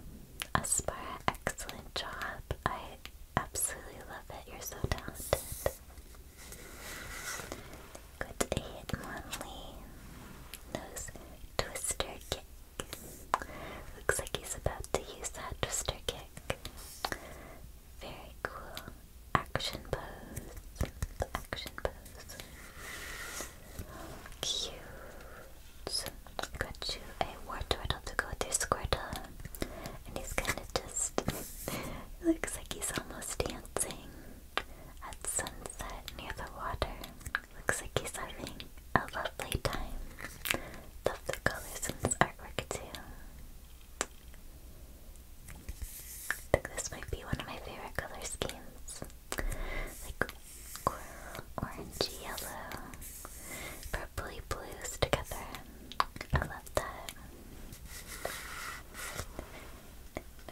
Aspara, excellent job. I absolutely love it. You're so talented. Good hit, Monley. Nose twister kick. Looks like he's about to use that twister kick. Very cool. Action pose. Action pose. Cute. Got you a war turtle to go through Squirtle. And he's kind of just. looks like he's almost dancing dancing at sunset near the water. Looks like he's having a lovely time. Love the colors in his artwork too. think this might be one of my favorite color schemes. Like coral, orange, yellow, purpley blues together. I love that.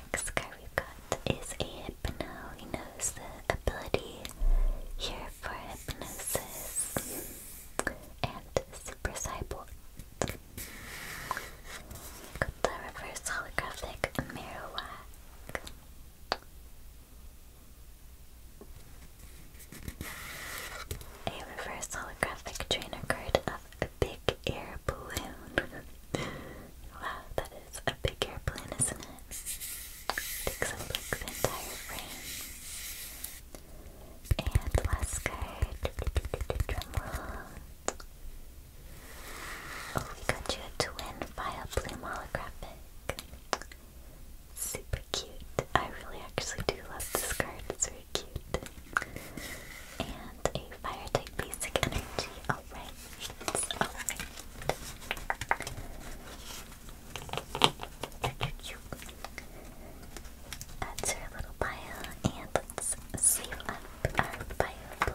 Next card we've got is a Hypno. He knows the ability here for hypnosis and super cyborg. Got the reverse holographic Marowak. A reverse holographic trainer card a big air balloon. wow, that is a big air isn't it? Takes up like the entire frame. And last card. Oh, we got you a twin file bloom holographic. Super cute. I really actually do love this card. It's very cute. And and a fire type basic energy. Alright, alright. That's our little pile, and let's up our fire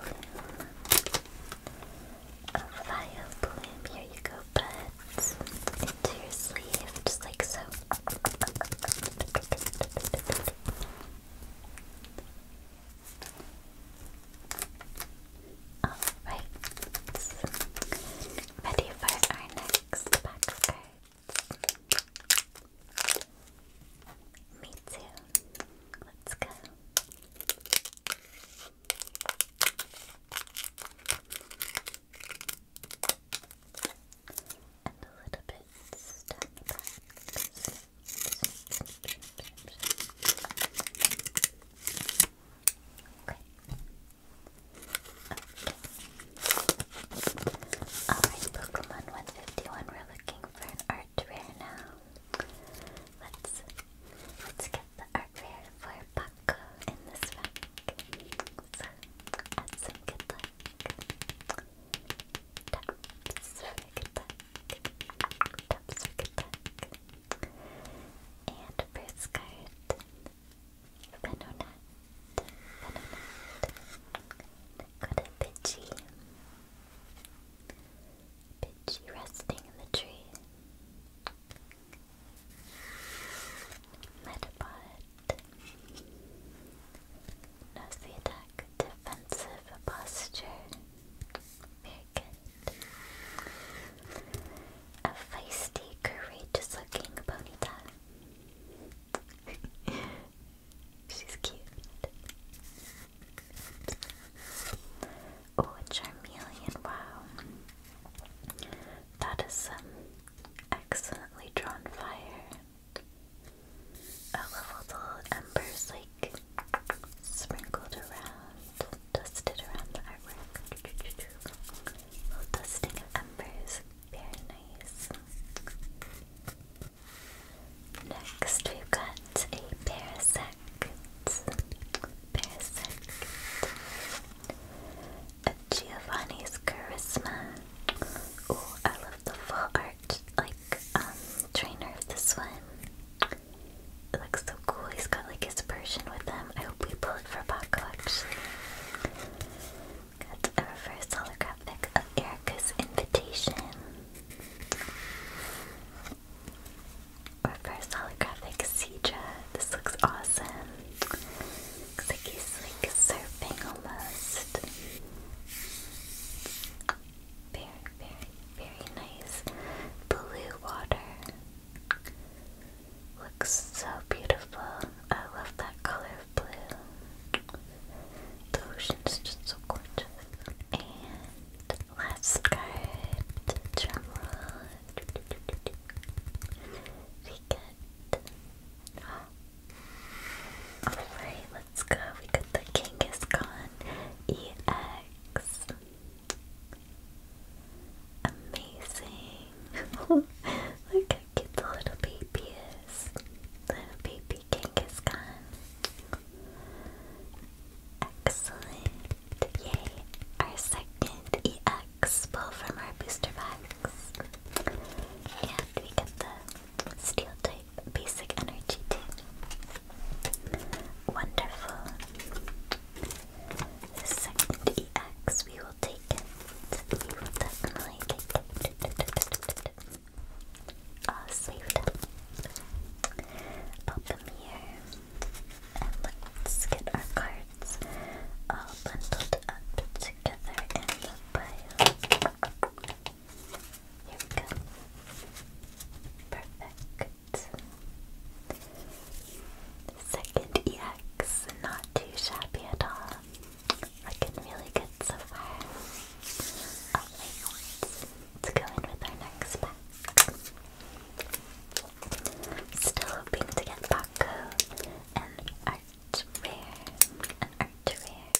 A fire bloom, here you go, buds. Into your sleeve, just like so. Alright. Oh, Ready for our next pack of cards. Me too. Let's go and a Alright, Pokemon 151, we're looking for art rare now. Let's let's get the art rare for Paco in this rack. So add good luck. Taps, Frigate Duck. Taps, Frigate Duck. And first card, Venonat. Venonat. Got a Pidgey. resting in the tree. Metapod. Notice attack defensive posture. Very good. A feisty, courageous looking Bonita. She's cute. Oh, a Charmeleon, wow. That is some um, excellently drawn fire. I love all the little embers like sprinkled around, dusted around the artwork. Little dusting of embers, very nice. Next, we've got a parasect. Parasect. A Giovanni's Charisma. Oh, I love the full art like um trainer of this one. It looks so cool. He's got like his version with him. I hope we pull it for Paco actually. Got a reverse holographic of Erica's invitation. Reverse holographic Cedra. This looks awesome. like he's like surfing almost very, very, very nice blue water. Looks so beautiful. I love that color of blue. The ocean's just so gorgeous. And last card, drumroll. We get. Oh, Alright, let's go. We got the King is Gone EX. Amazing. Look how the little baby is. Little baby King is Gone. Excellent. Yay. Our second EX pull from our booster box. And we get the steel type basic energy Wonderful. second EX, we will take it. We will definitely take it. All ah, Pop them here. And let's get our cards all bundled up together in the here we go. Perfect. Second EX, not too shabby at all. Looking really good so far. let's go in with our next pack. Still hoping to get Paco and Art Rare. An Art Rare.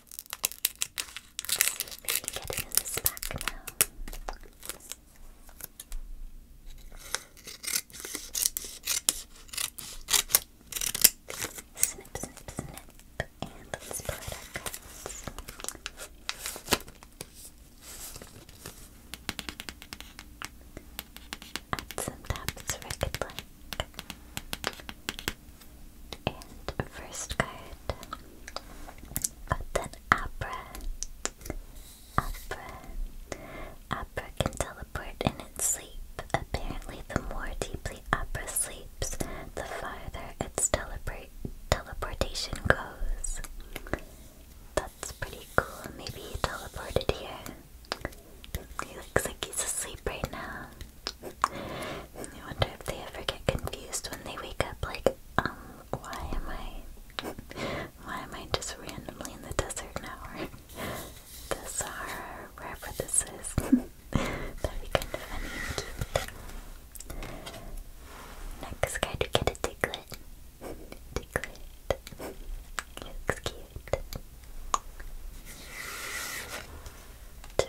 Let's see if we can get it in the pack now. Snip, snip, snip, and let's pull our cards. At some top, it's record player. And first card got an Abra. Abra. Abra can teleport in its sleep. Apparently, the more deeply Abra sleeps, the farther its teleport teleportation goes. That's pretty cool. Maybe he teleported here. He looks like he's asleep right now. I wonder if they ever get confused when they wake up like, um, why am I why am I just randomly in the desert now? the Sahara, wherever this is. That'd be kind of funny cute. Next guy to get a diglet. Diglet. looks cute.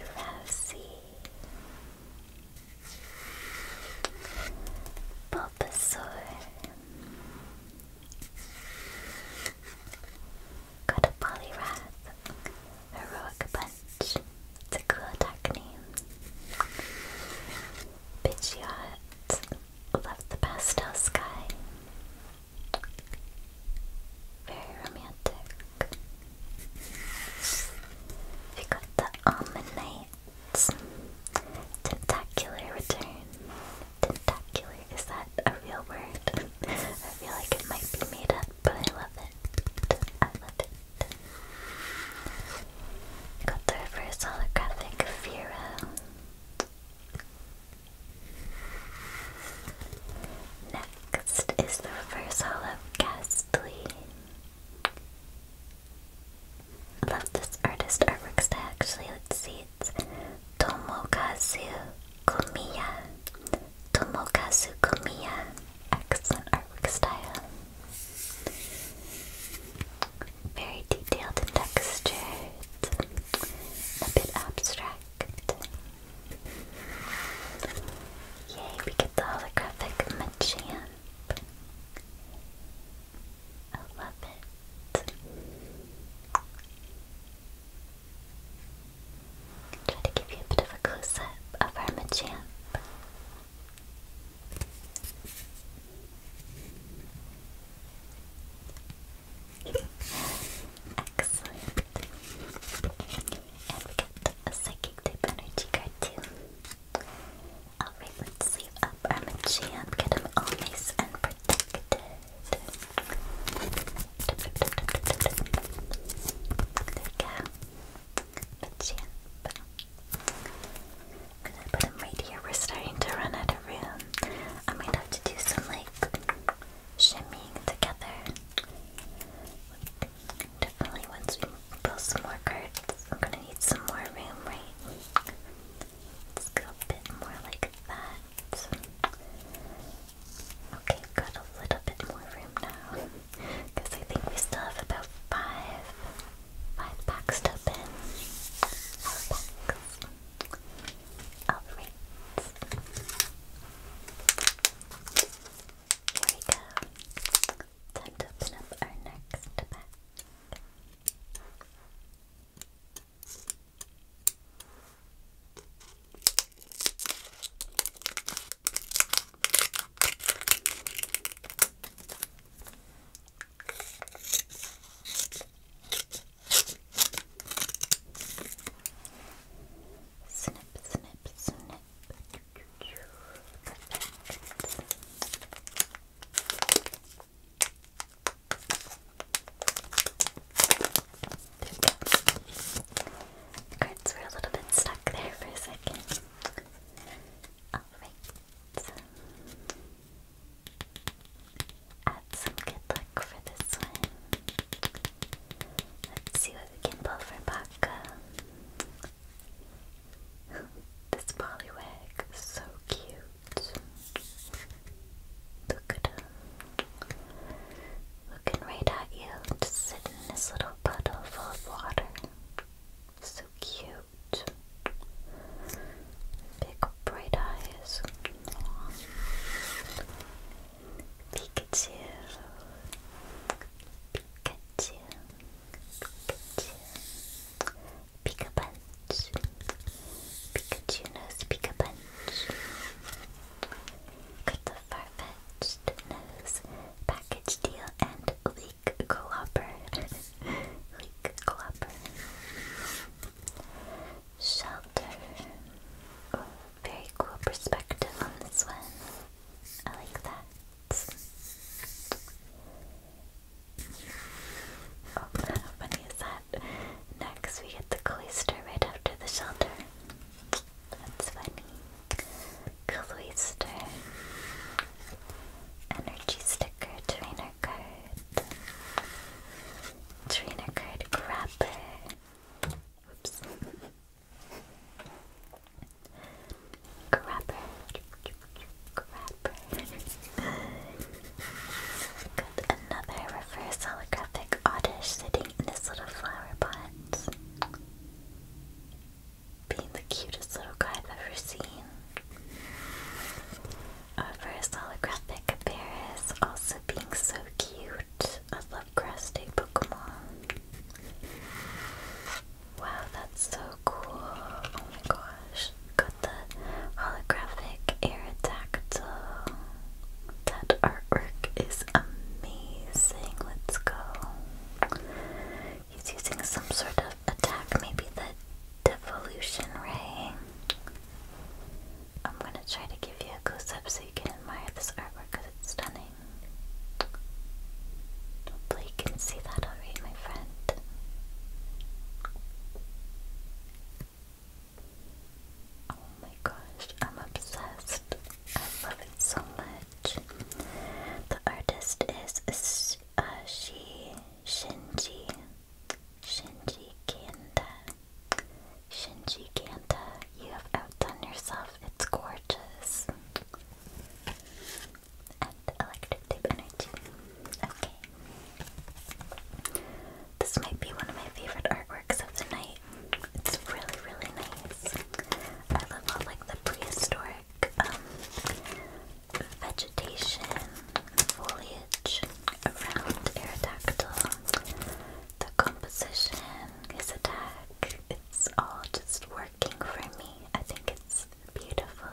Drowsy. Bulbasaur. Got a Poliwrath. Heroic Punch. It's a cool attack name. Pidgeot. Love the pastel sky. Very romantic. We got the Almond Tentacular Return. Tentacular, is that a real word? I feel like it might be made up, but I love it. I love it. Got the reverse holographic Fira. Next is the reverse hollow Ghastly. Love this artist artwork actually. Let's see, it's Tomokazu Komiya. Tomokazu Komiya. Excellent artwork style. Very detailed and textured. A bit abstract. Yay, we get the holographic Machamp. I love it. Try to give you a bit of a close of our Machamp. Excellent and we get a psychic type energy card too. Alright, let's save up our Machamp, get him all nice and protected. There we go. Machamp. i gonna put him right here. We're starting to run out of room. I might have to do some like shimmying together. Definitely once we pull some more cards, I'm gonna need some more room, right? Let's go a bit more like that. Okay, got a little bit more room now. Because I think we still have about five, five packs to open. Five packs. Alright. Here we go. Time to open up our next pack. Snip, snip, snip cards were a little bit stuck there for a second. Alright. Add some good luck for this one. Let's see that for Baka. this Poliwag so cute. Look at him. Looking right at you, just sitting in this little puddle full of water. So cute. Big bright eyes. Pikachu, Pikachu, Pikachu, Pika Punch, Pikachu knows Pika Punch. Got the far-fetched nose, package deal, and leak glopper, leak glopper. Shelter. very cool perspective on this one. I like that. Oh, how funny is that? Next, we get the cloister right after the shelter. That's funny. Cloister. Energy sticker, trainer card. Trainer card grabber. Oops. Grabber. Grabber. Got another reverse holographic oddish sitting in this little flower Being the cutest little guy I've ever seen. A reverse holographic Paris also being so cute. I love grass Pokemon. Wow, that's so cool. Oh my gosh. Got the holographic Aerodactyl. That artwork is amazing. Let's go. He's using some sort of attack, maybe the Devolution Ray. I'm gonna try to give you a close up you can admire this artwork it's stunning. Hopefully, you can see that already, my friend. Oh my gosh, I'm obsessed. I love it so much. The artist is she, Shinji, Shinji Kanta. Shinji Kanda. You have outdone yourself. It's gorgeous. And electric tape Okay. This might be one of my favorite artworks of the night. It's really, really nice. I love like the prehistoric um, vegetation, foliage around Aerodactyl. The composition, his attack, it's all just words working for me. I think it's beautiful.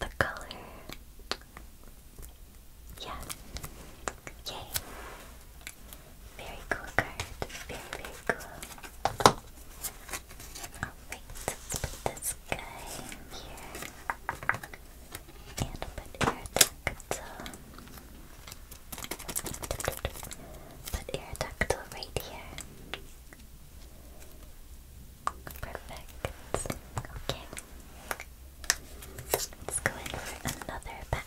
The color. Yeah. Yay. Very cool card. Very, very cool. Alright, let's put this guy here. And put air duct. Put Aerodactyl right here. Perfect. Okay. Let's go in for another pack.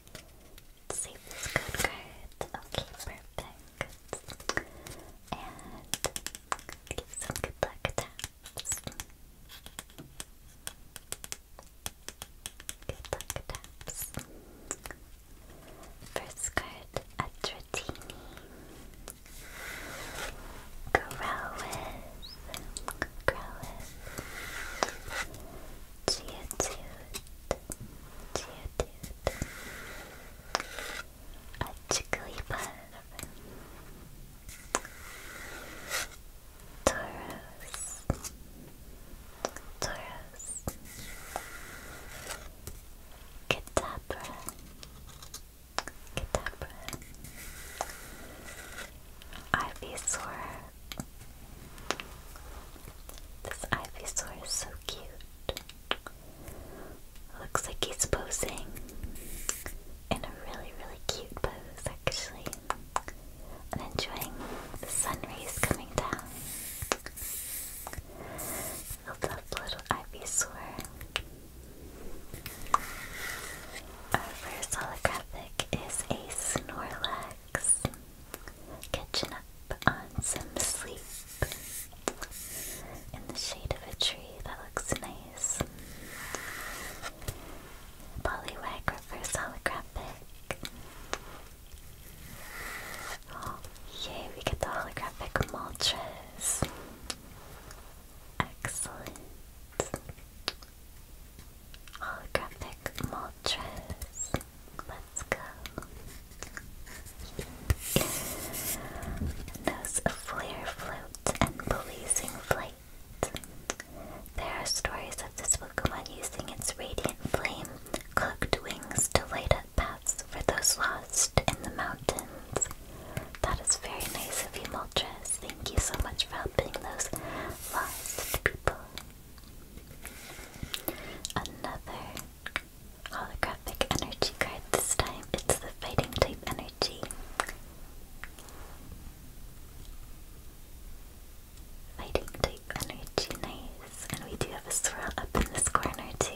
Let's good cards. Okay, perfect. And give some good luck taps. Good luck taps. First card, Atratini. Growlithe. Growlithe. Geodude cute, dude. A jiggly part of him. Tauros. Tauros. Kadabra. This ivy Ivysaur is so cute. Looks like he's posing in a really, really cute pose, actually. And enjoying the sun rays coming down. I love little Ivysaur. Our first holographic is a Snorlax catching up on some sleep in the shade of a tree that looks nice. Poliwag reverse holographic. Oh, yay, we get the holographic Moltres. Excellent. Holographic Moltres. Let's go. Those Flare Float and Policing Flight. There are stories of this Pokemon using its radiant flame cloaked wings to light up paths for those lost in the mountains. That is very nice of you, Moltres. Thank you so much for helping those lost people. Another holographic energy card this time. It's the fighting type energy. Fighting type energy, nice. And we do have a swirl up in this corner too.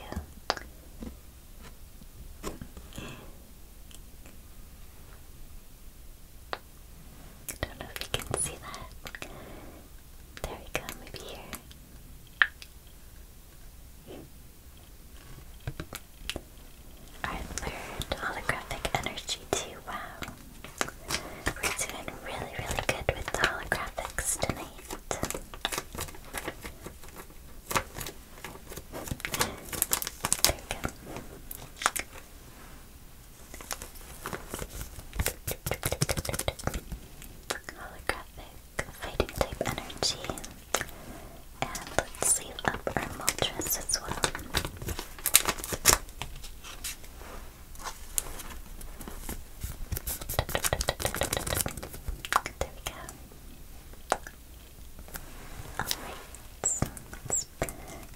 I don't know if you can see that. There we go, maybe here. Our third holographic energy too, wow. We're doing really, really good with the holographics tonight. There we go. Holographic fighting type energy. And let's save up our Moltres as well. There we go. Alright, let's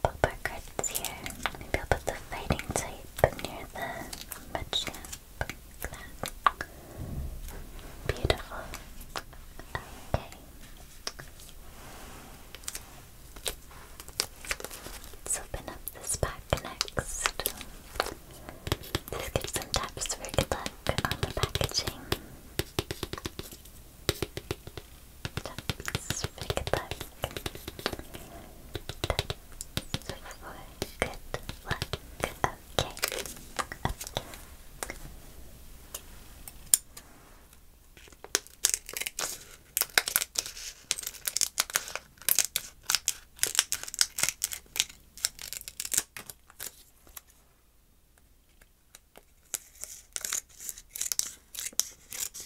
pop our cards here. Maybe I'll put the fighting type near the much like Let's open up this pack next. Just give some taps for good luck on the packaging. Taps for good luck. So for good luck. Okay.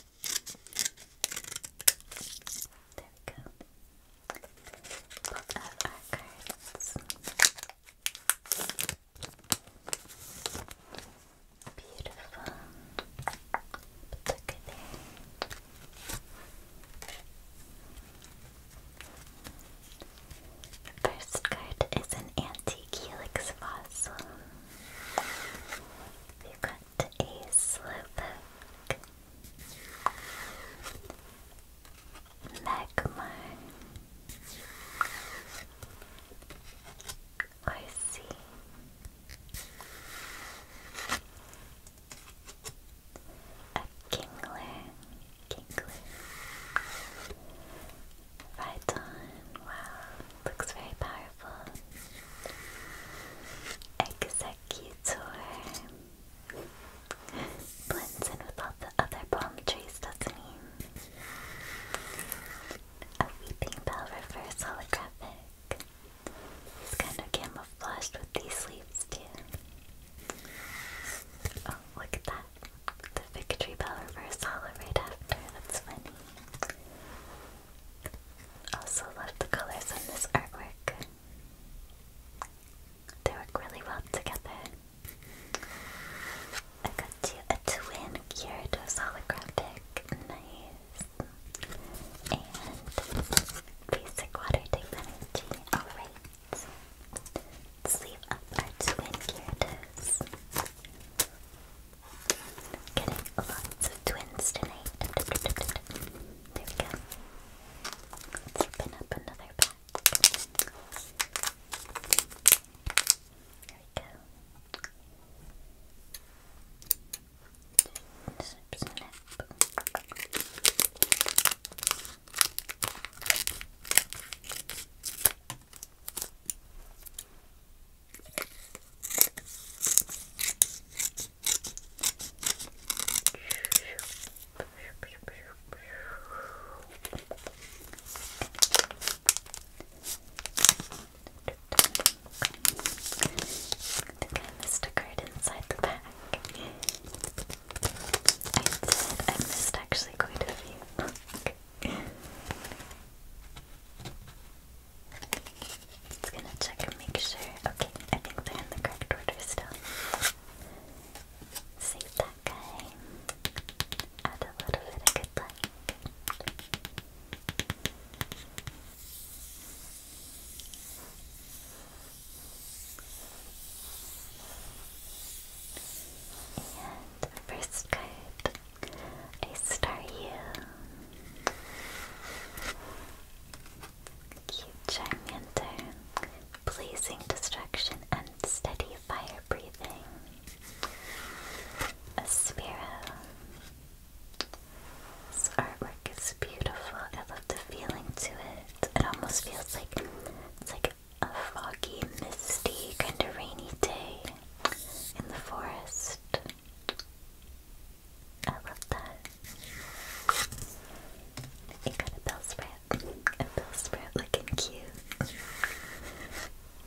There we go. Put out our cards. Beautiful. look at there. first card is an antique helix fossil. we not a slowpoke. Magmar Orsi A Kingler Kingler Rhyton, wow, looks very powerful. Exile cute to Blends in with all the other palm trees, doesn't A weeping bell reverse holographic. He's kind of camouflaged with these sleeves too. Oh, look at that. The victory bell reverse hollow after. That's funny. Also love the colors on this artwork. They work really well together. I got you a twin Gyarados holographic. Nice. And basic water type Alright. Let's leave twin Gyarados. Getting lots of twins tonight. There we go. open up another pack. There we go. Snip, snip think I missed a card inside the back. I missed actually quite a few. Just gonna check and make sure. Okay, I think they're in the correct order still. Save that guy. Add a little bit of good luck. And first card, I star you. Cute Charmander. Blazing Destruction and Steady Fire Breathing. A Sparrow. This artwork is beautiful. I love the feeling to it. It almost feels like it's like a foggy, misty, kind of rainy day in the forest. I love that. It got a bell sprout. A bell sprout looking cute.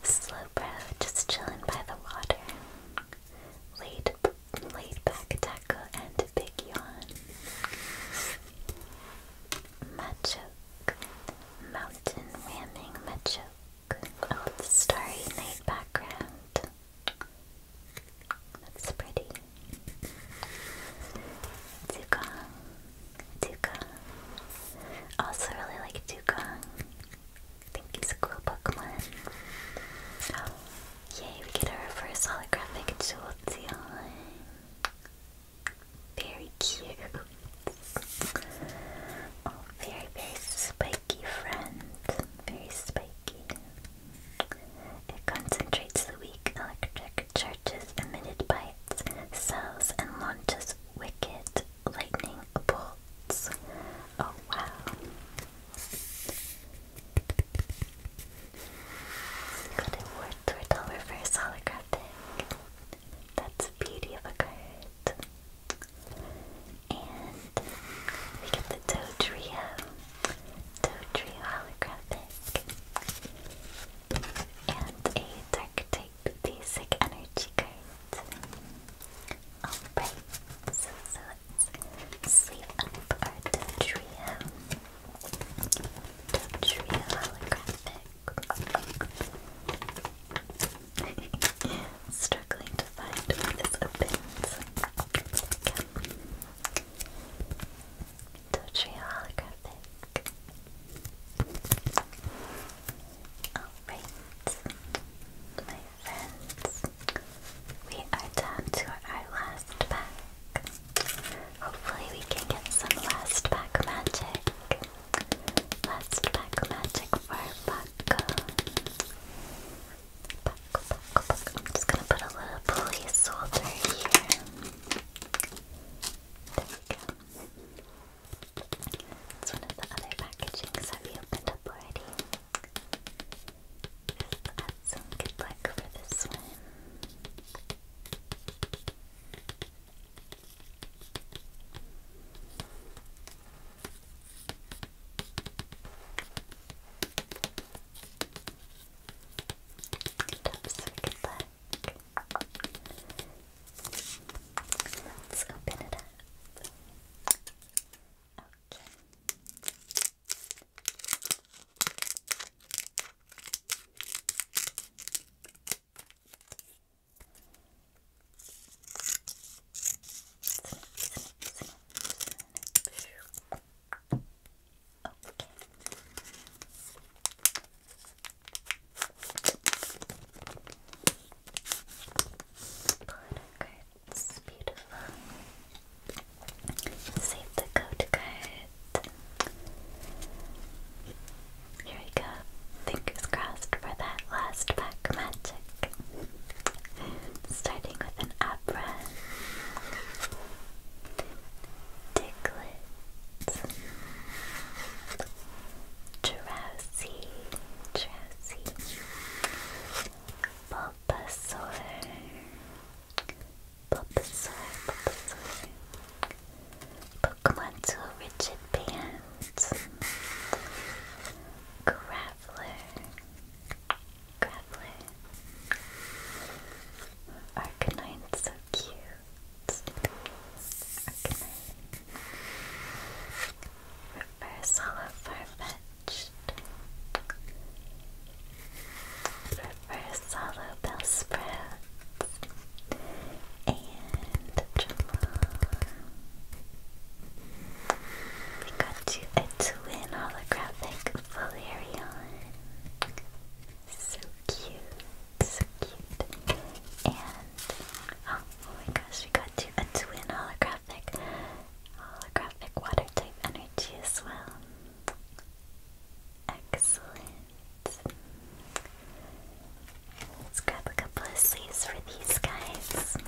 Slowbro just chilling by the water. Late, laid back taco and big yawn. Machoke. Mountain ramming machoke. Old oh, starry night background. That's pretty. Dugong. Dugong. Also really like Dugong. I think he's a cool Pokemon. Oh, yay, we get a reverse holographic Jolteon. Very cute. Oh, very, very spiky friend. Very spiky. It concentrates the weak electric charges emitted by its cells and launches wicked lightning bolts. Oh wow. Got a War Turtle reverse holographic. That's beauty of a card. And we get the Dodrio. Totri holographic. And a dark type basic energy card. Alright, so, sleep up our Dodrio. Dodrio holographic. Struggling to find this opens. Totally holographic. Alright, my friends, we are down to our last pack. Hopefully, we can get some last pack magic. Last pack magic for Bucko. I'm just gonna put a little placeholder here. There we go. It's one of the other packagings that we opened up already. add some good luck for this one. Top circuit Let's open it up. Okay. Okay. Polluter beautiful. Save the goat card. Here we go. Fingers crossed for that last pack magic. Starting with an opera. Diglett, Drowsy, Drowsy, Bulbasaur, Bulbasaur, Bulbasaur, Pokemon Tool Rigid Band, Graveler, Graveler. Arcanine's so cute. Arcanine. Reverse Hollow Reverse Hollow Bellsprout. And Dremel. We got you a twin holographic Valerian. So cute, so cute. And oh, oh my gosh, we got a twin holographic holographic water type energy as well. Excellent. Let's grab a couple of sleeves for these guys.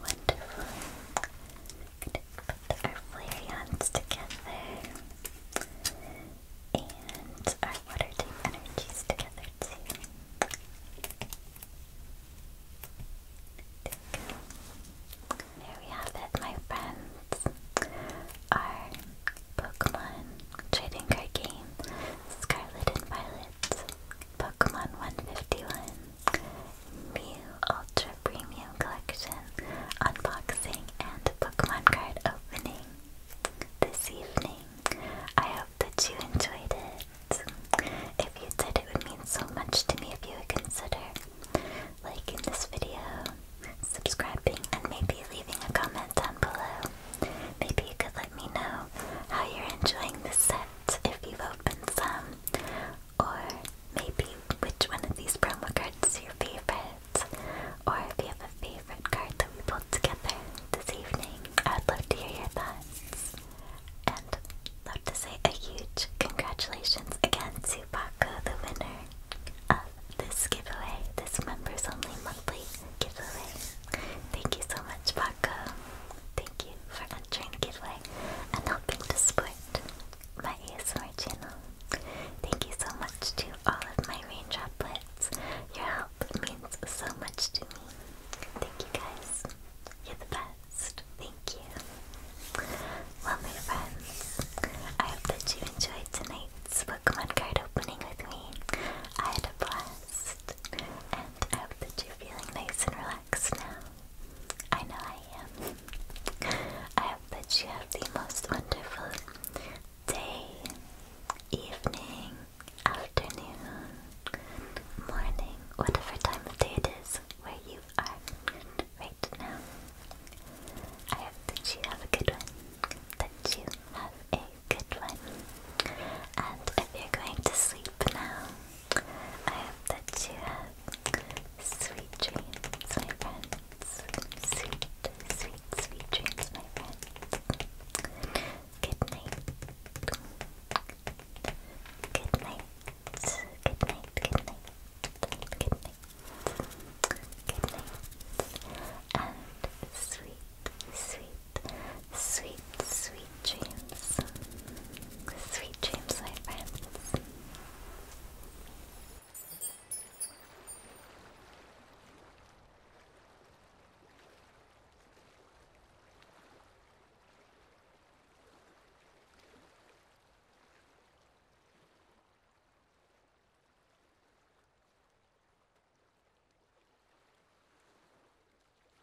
Wonderful. Put our Flareons together. And our water type energies together too. there we have it, my friends. Our Pokemon trading card game, Scarlet and Violet Pokemon 151 Mew Ultra Premium Collection unboxing and Pokemon card opening this evening. I hope that you enjoyed it. If you did, it would mean so much to me if you would consider liking this video, subscribing, and maybe leaving a comment down below. Maybe you could let me know how you're enjoying this set if you've opened some, or maybe which one of these promo cards is your favorite, or if you have a favorite card that we pulled together this evening. I'd love to hear your thoughts. And love to say a huge congratulations again to Paco, the winner of this giveaway, this members only monthly giveaway. Thank you so much, Paco. Thank you for entering the giveaway and helping to support my ASMR channel. Thank you so much to all of my rain Your help means so much to me. Thank you guys. You're the best. Thank you. Well, my friends, I hope that you enjoyed tonight's Pokemon card opening with me. I had a blast. And I hope that you're feeling nice and relaxed now. I know I am. I hope that you have the most wonderful day, evening, afternoon, morning, whatever time of day it is where you are right now. I hope that you have a good one, that you have a good one. And if you're going to sleep now, I hope that you have sweet dreams, my friends. Sweet, sweet, sweet dreams, my friends. Good night. Good night. Good night. Good night. Good night. Good night. And sweet, sweet, Sweet, sweet dreams. Sweet dreams, my friends.